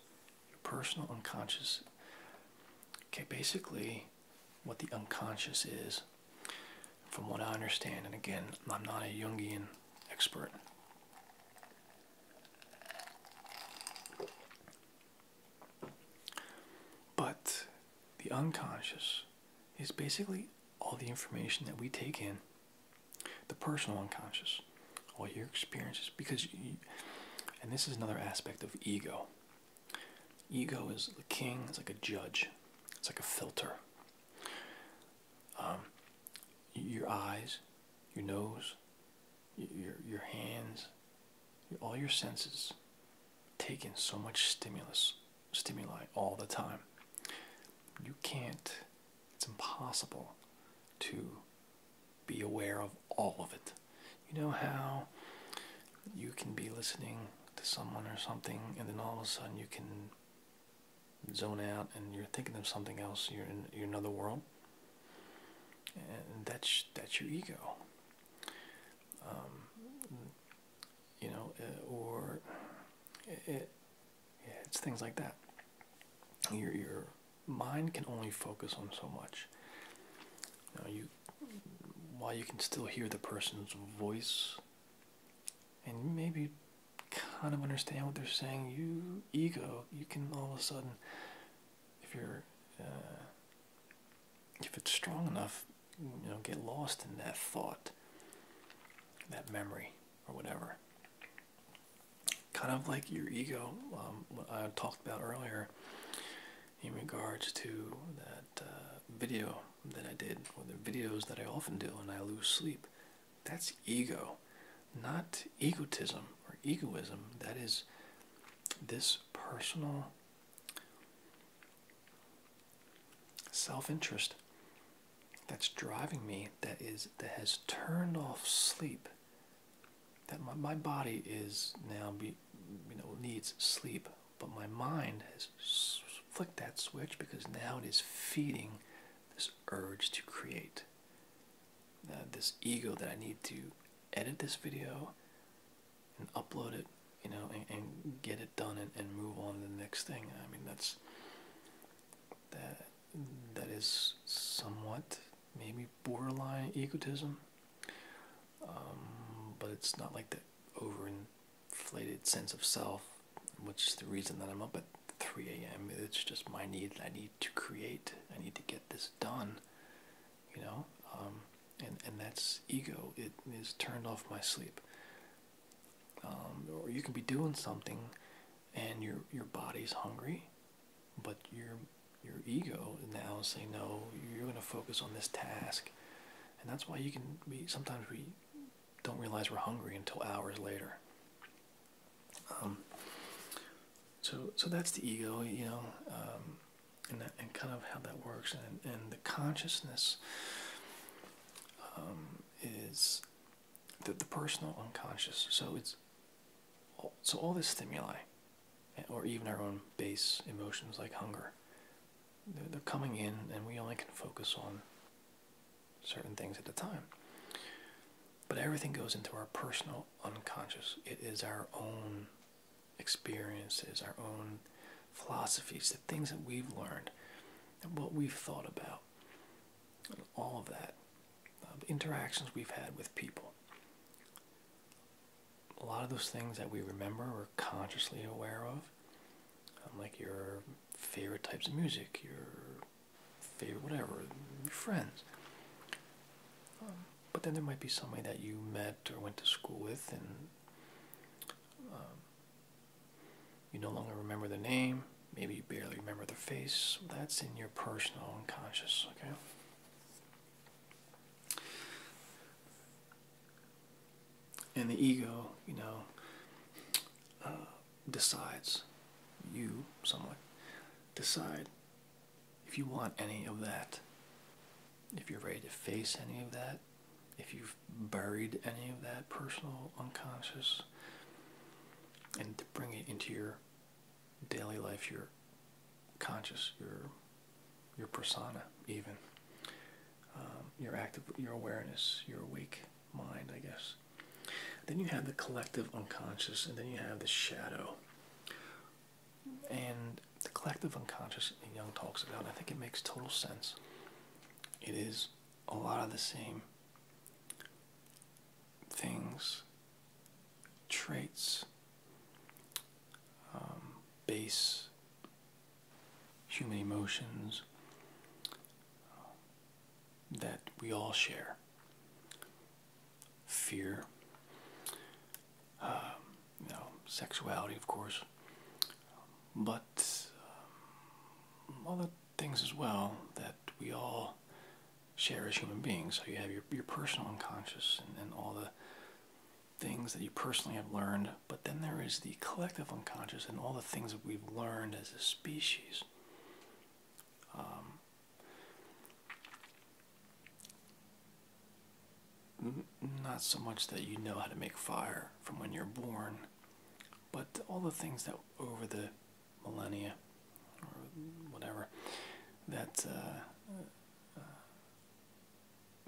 your personal unconscious. Okay, basically, what the unconscious is, from what I understand, and again, I'm not a Jungian expert. But the unconscious is basically all the information that we take in, the personal unconscious, all your experiences. Because, and this is another aspect of ego. Ego is the king, it's like a judge, it's like a filter. Um, your eyes, your nose, your, your hands, all your senses take in so much stimulus stimuli all the time. You can't, it's impossible to be aware of all of it. You know how you can be listening to someone or something, and then all of a sudden you can zone out and you're thinking of something else, you're in, you're another world? And that's, that's your ego. Um, you know, uh, or it, uh, uh, yeah, it's things like that. Your your mind can only focus on so much. You, you while you can still hear the person's voice, and maybe kind of understand what they're saying, you ego, you can all of a sudden, if you're, if it's strong enough, you know get lost in that thought that memory or whatever kind of like your ego um, what i talked about earlier in regards to that uh, video that i did or the videos that i often do when i lose sleep that's ego not egotism or egoism that is this personal self-interest that's driving me that is that has turned off sleep that my, my body is now be, you know needs sleep but my mind has flicked that switch because now it is feeding this urge to create uh, this ego that i need to edit this video and upload it you know, and, get it done and, and move on to the next thing. I mean, that's that that is somewhat maybe borderline egotism, um, but it's not like the overinflated sense of self, which is the reason that I'm up at 3 a.m. It's just my need. I need to create. I need to get this done. You know, um, and and that's ego. It is turned off my sleep. Um, or you can be doing something and your your body's hungry but your your ego now is saying no you're going to focus on this task and that's why you can be sometimes we don't realize we're hungry until hours later um, so so that's the ego you know um, and, and kind of how that works and, and the consciousness um, is the, personal unconscious. So it's so all the stimuli, eh, or even our own base emotions like hunger, they're, coming in, and we only can focus on certain things at the time. But everything goes into our personal unconscious. It is our own experiences, our own philosophies things that we've learned what we've thought about, all of that, um, interactions we've had with people. A lot of those things that we remember we're consciously aware of, um, like your favorite types of music, your favorite whatever, your friends. Um, but then there might be somebody that you met or went to school with and you no longer remember the name. Maybe you barely remember the face. That's in your personal unconscious, okay? And the ego, you know, uh, decides, you somewhat, decide if you want any of that, if you're ready to face any of that, if you've buried any of that personal unconscious and to bring it into your daily life your conscious your your persona even um, your active your awareness your awake mind i guess then you have the collective unconscious and then you have the shadow and the collective unconscious and young talks about i think it makes total sense it is a lot of the same things, traits, um, base human emotions um, that we all share fear, um, you know, sexuality, of course, but things as well that we all share as human beings. So you have your, your personal unconscious and, all the things that you personally have learned, but then there is the collective unconscious and all the things that we've learned as a species. Um, not so much that you know how to make fire from when you're born, but all the things that over the millennia or whatever that uh, uh,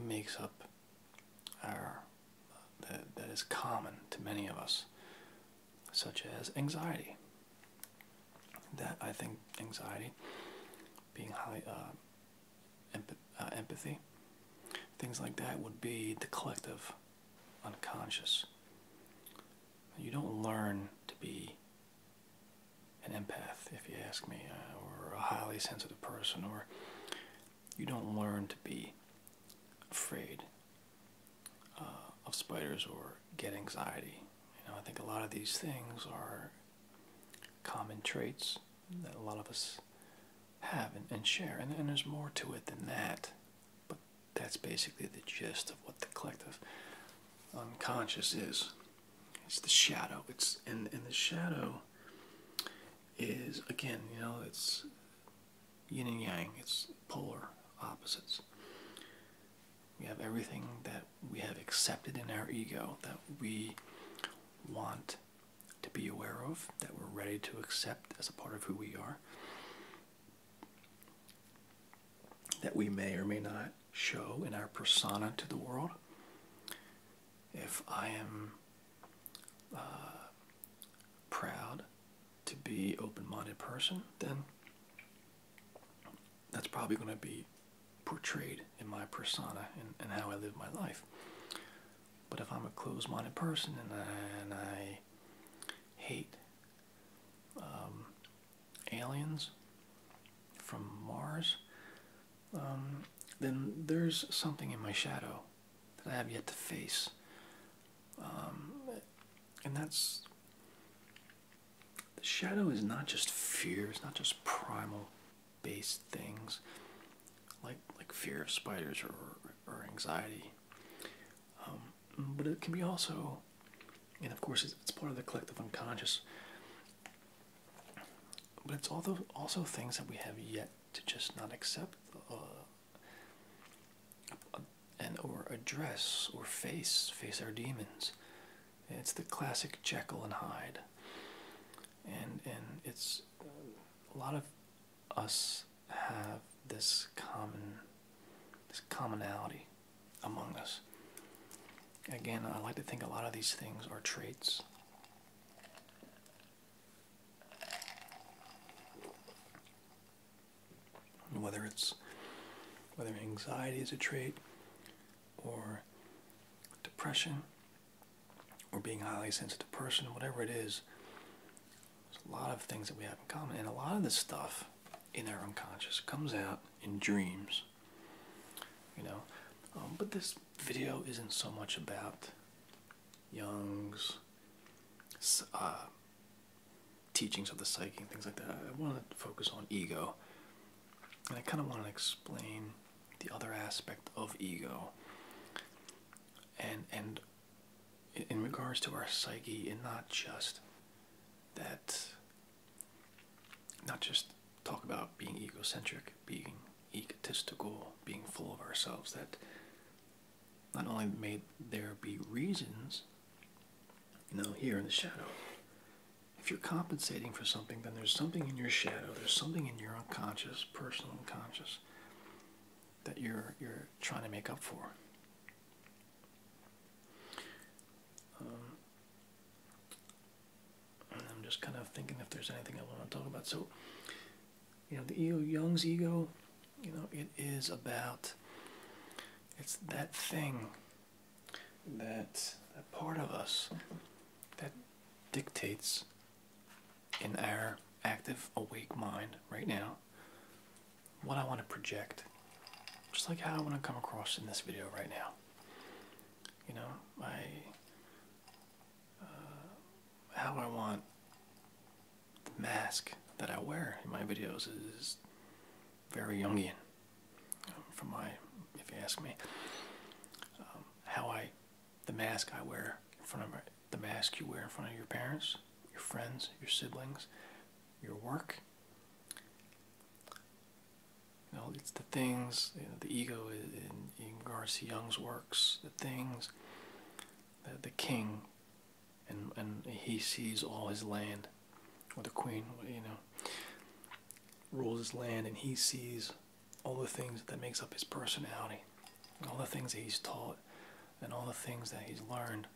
makes up our that, that is common to many of us, such as anxiety. That I think anxiety, being high, uh, empathy, things like that would be the collective unconscious. You don't learn to be an empath, if you ask me, uh, or a highly sensitive person, or you don't learn to be afraid uh, of spiders or get anxiety. You know, I think a lot of these things are common traits that a lot of us have and, share, and there's more to it than that. But that's basically the gist of what the collective unconscious is. It's the shadow. It's and and the shadow is again, you know, it's yin and yang. It's polar opposites. We have everything that we have accepted in our ego that we want to be aware of, that we're ready to accept as a part of who we are that we may or may not show in our persona to the world. If I am uh, proud to be open-minded person, then that's probably going to be portrayed in my persona and, and how I live my life. But if I'm a closed-minded person and and I hate um, aliens from Mars, um, then there's something in my shadow that I have yet to face. Um, and that's. The shadow is not just fear, it's not just primal based things like like fear of spiders or, or anxiety but it can be also, and of course, it's part of the collective unconscious. But it's also also things that we have yet to just not accept, uh, and or address or face face our demons. It's the classic Jekyll and Hyde, and and it's a lot of us have this common this commonality among us. Again, I like to think a lot of these things are traits. Whether it's whether anxiety is a trait or depression or being a highly sensitive person, whatever it is, there's a lot of things that we have in common, and a lot of this stuff in our unconscious comes out in dreams. You know, um, but this video isn't so much about Jung's uh, teachings of the psyche and things like that. I want to focus on ego, and I kind of want to explain the other aspect of ego and and in regards to our psyche and not just that not just talk about being egocentric being egotistical being full of ourselves that not only may there be reasons you know here in the shadow if you're compensating for something then there's something in your shadow there's something in your unconscious personal unconscious that you're you're trying to make up for um, I'm just kind of thinking if there's anything I want to talk about. So, you know, the ego, Jung's ego, you know, it is about it's that thing that part of us that dictates in our active awake mind right now what I want to project, just like how I want to come across in this video right now. You know, I, uh, how I want the mask that I wear in my videos is very Jungian, um, from my, if you ask me, um, how I, the mask I wear in front of the mask you wear in front of your parents, your friends, your siblings, your work. Well, it's the things, you know, the ego in, in Garcia Young's works, the things, the, the king, and, and he sees all his land, or the queen, you know, rules his land, and he sees all the things that makes up his personality, all the things that he's taught, and all the things that he's learned.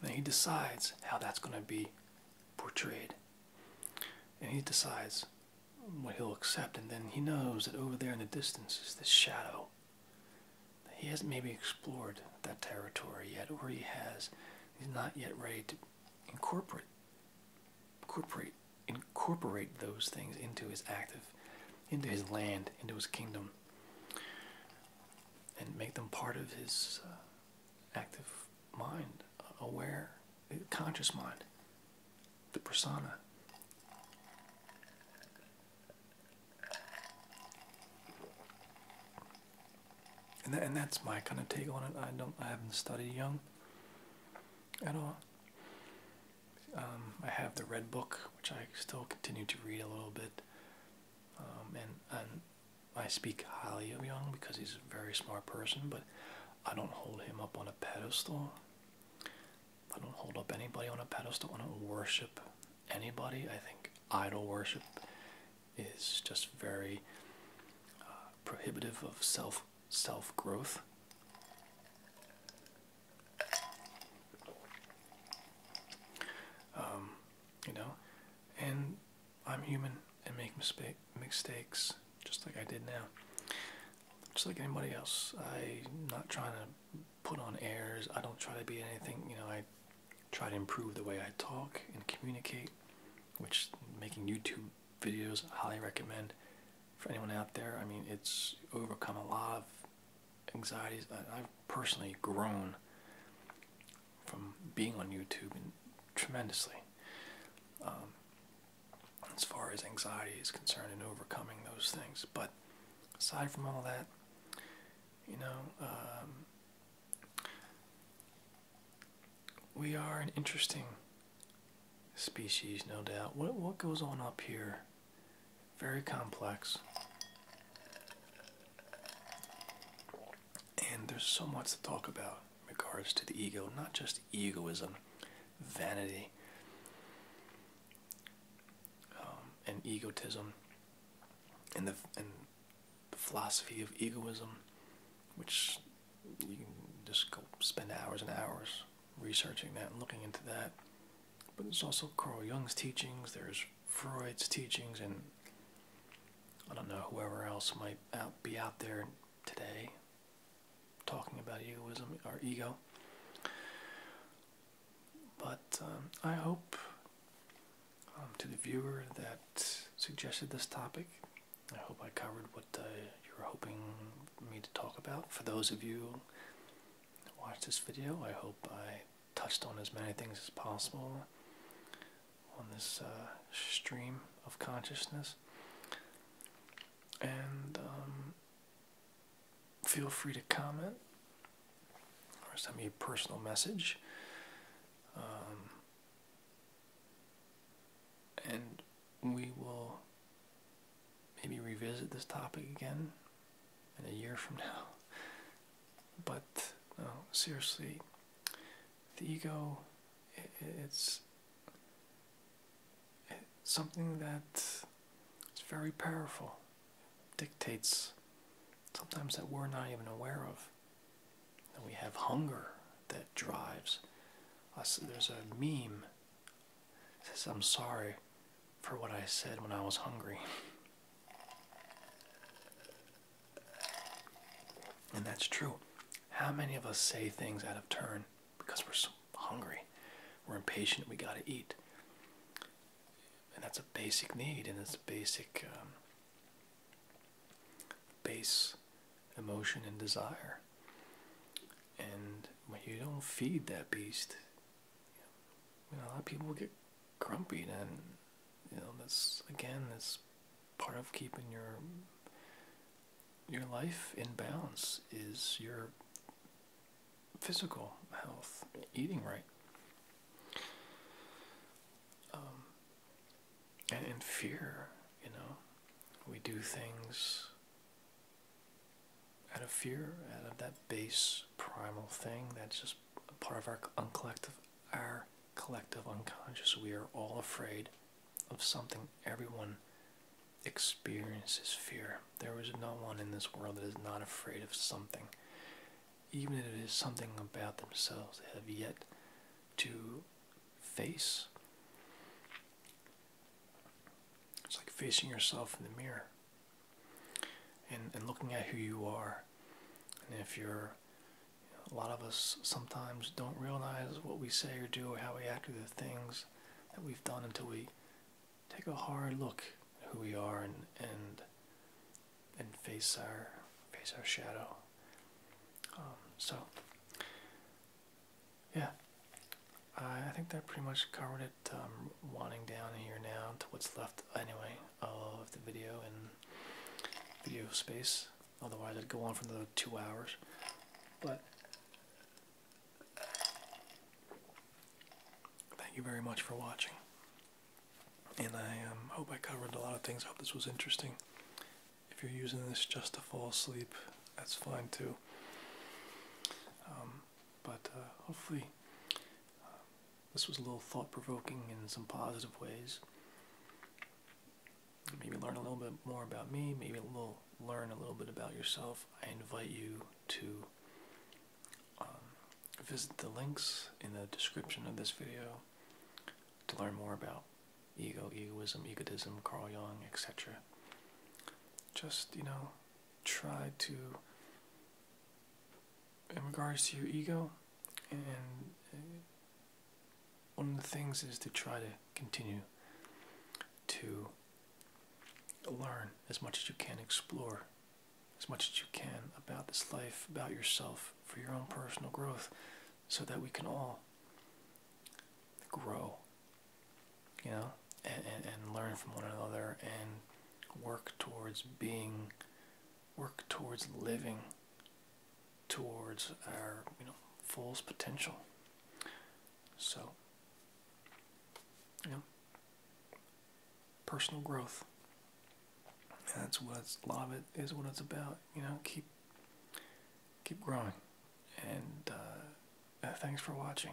Then he decides how that's going to be portrayed. And he decides what he'll accept, and then he knows that over there in the distance is this shadow. He hasn't maybe explored that territory yet, or he has. He's not yet ready to incorporate, incorporate, incorporate those things into his active, into his land, into his kingdom and make them part of his uh, active mind, uh, aware, uh, conscious mind, the persona. And, that's my kind of take on it. I don't, I haven't studied Jung at all. Um, I have the Red Book, which I still continue to read a little bit. Um, and and I speak highly of Young because he's a very smart person, but I don't hold him up on a pedestal. I don't hold up anybody on a pedestal. I don't worship anybody. I think idol worship is just very uh, prohibitive of self self growth. Um, you know, and I'm human and make mistake mistakes just like I did now, just like anybody else. I'm not trying to put on airs. I don't try to be anything. You know, I try to improve the way I talk and communicate, which making YouTube videos highly recommend for anyone out there. I mean, it's overcome a lot of anxieties. I, have personally grown from being on YouTube and tremendously um, as far as anxiety is concerned and overcoming those things. But aside from all that, you know, um, we are an interesting species, no doubt. What what goes on up here? Very complex. And there's so much to talk about in regards to the ego, not just egoism, vanity, um, and egotism, and the, philosophy of egoism, which you can just go spend hours and hours researching that and looking into that. But there's also Carl Jung's teachings, there's Freud's teachings and I don't know whoever else might be out there today talking about egoism or ego. But um, I hope um, to the viewer that suggested this topic, I hope I covered what uh, you were hoping me to talk about. For those of you who watched this video, I hope I touched on as many things as possible on this uh, stream of consciousness. And um, feel free to comment or send me a personal message. Um, and we will maybe revisit this topic again in a year from now but seriously, the ego, it's, it's something that is very powerful, dictates sometimes that we're not even aware of. And we have hunger that drives us. There's a meme that says, I'm sorry for what I said when I was hungry. And that's true. How many of us say things out of turn because we're so hungry? We're impatient, we gotta eat. And that's a basic need, and it's a basic um, base emotion and desire. And when you don't feed that beast, a lot of people get grumpy then you know that's again that's part of keeping your your life in balance is your physical health eating right um, and, and fear you know we do things out of fear out of that base primal thing that's just part of our uncollective our collective unconscious. We are all afraid of something. Everyone experiences fear. There is no one in this world that is not afraid of something, even if it is something about themselves they have yet to face. It's like facing yourself in the mirror and, and looking at who you are. And if you're a lot of us sometimes don't realize what we say or do or how we act or the things that we've done until we take a hard look at who we are and and and face our face our shadow. Um, so yeah, I, think that pretty much covered it. Um, winding down here now to what's left anyway of the video and video space. Otherwise, it'd go on for another two hours. But thank you very much for watching. And I um, hope I covered a lot of things. I hope this was interesting. If you're using this just to fall asleep, that's fine too. Um, but uh, hopefully, this was a little thought provoking in some positive ways. Maybe learn a little bit more about me, maybe a little learn a little bit about yourself. I invite you to um, visit the links in the description of this video to learn more about ego, egoism, egotism, Carl Jung, etc. Just, you know, try to in regards to your ego, and uh, one of the things is to try to continue to learn as much as you can, explore as much as you can about this life, about yourself, for your own personal growth, so that we can all grow, you know, and, and, learn from one another and work towards being work towards living towards our you know fullest potential so you know personal growth that's what it's, a lot of it is what it's about you know keep keep growing and uh, thanks for watching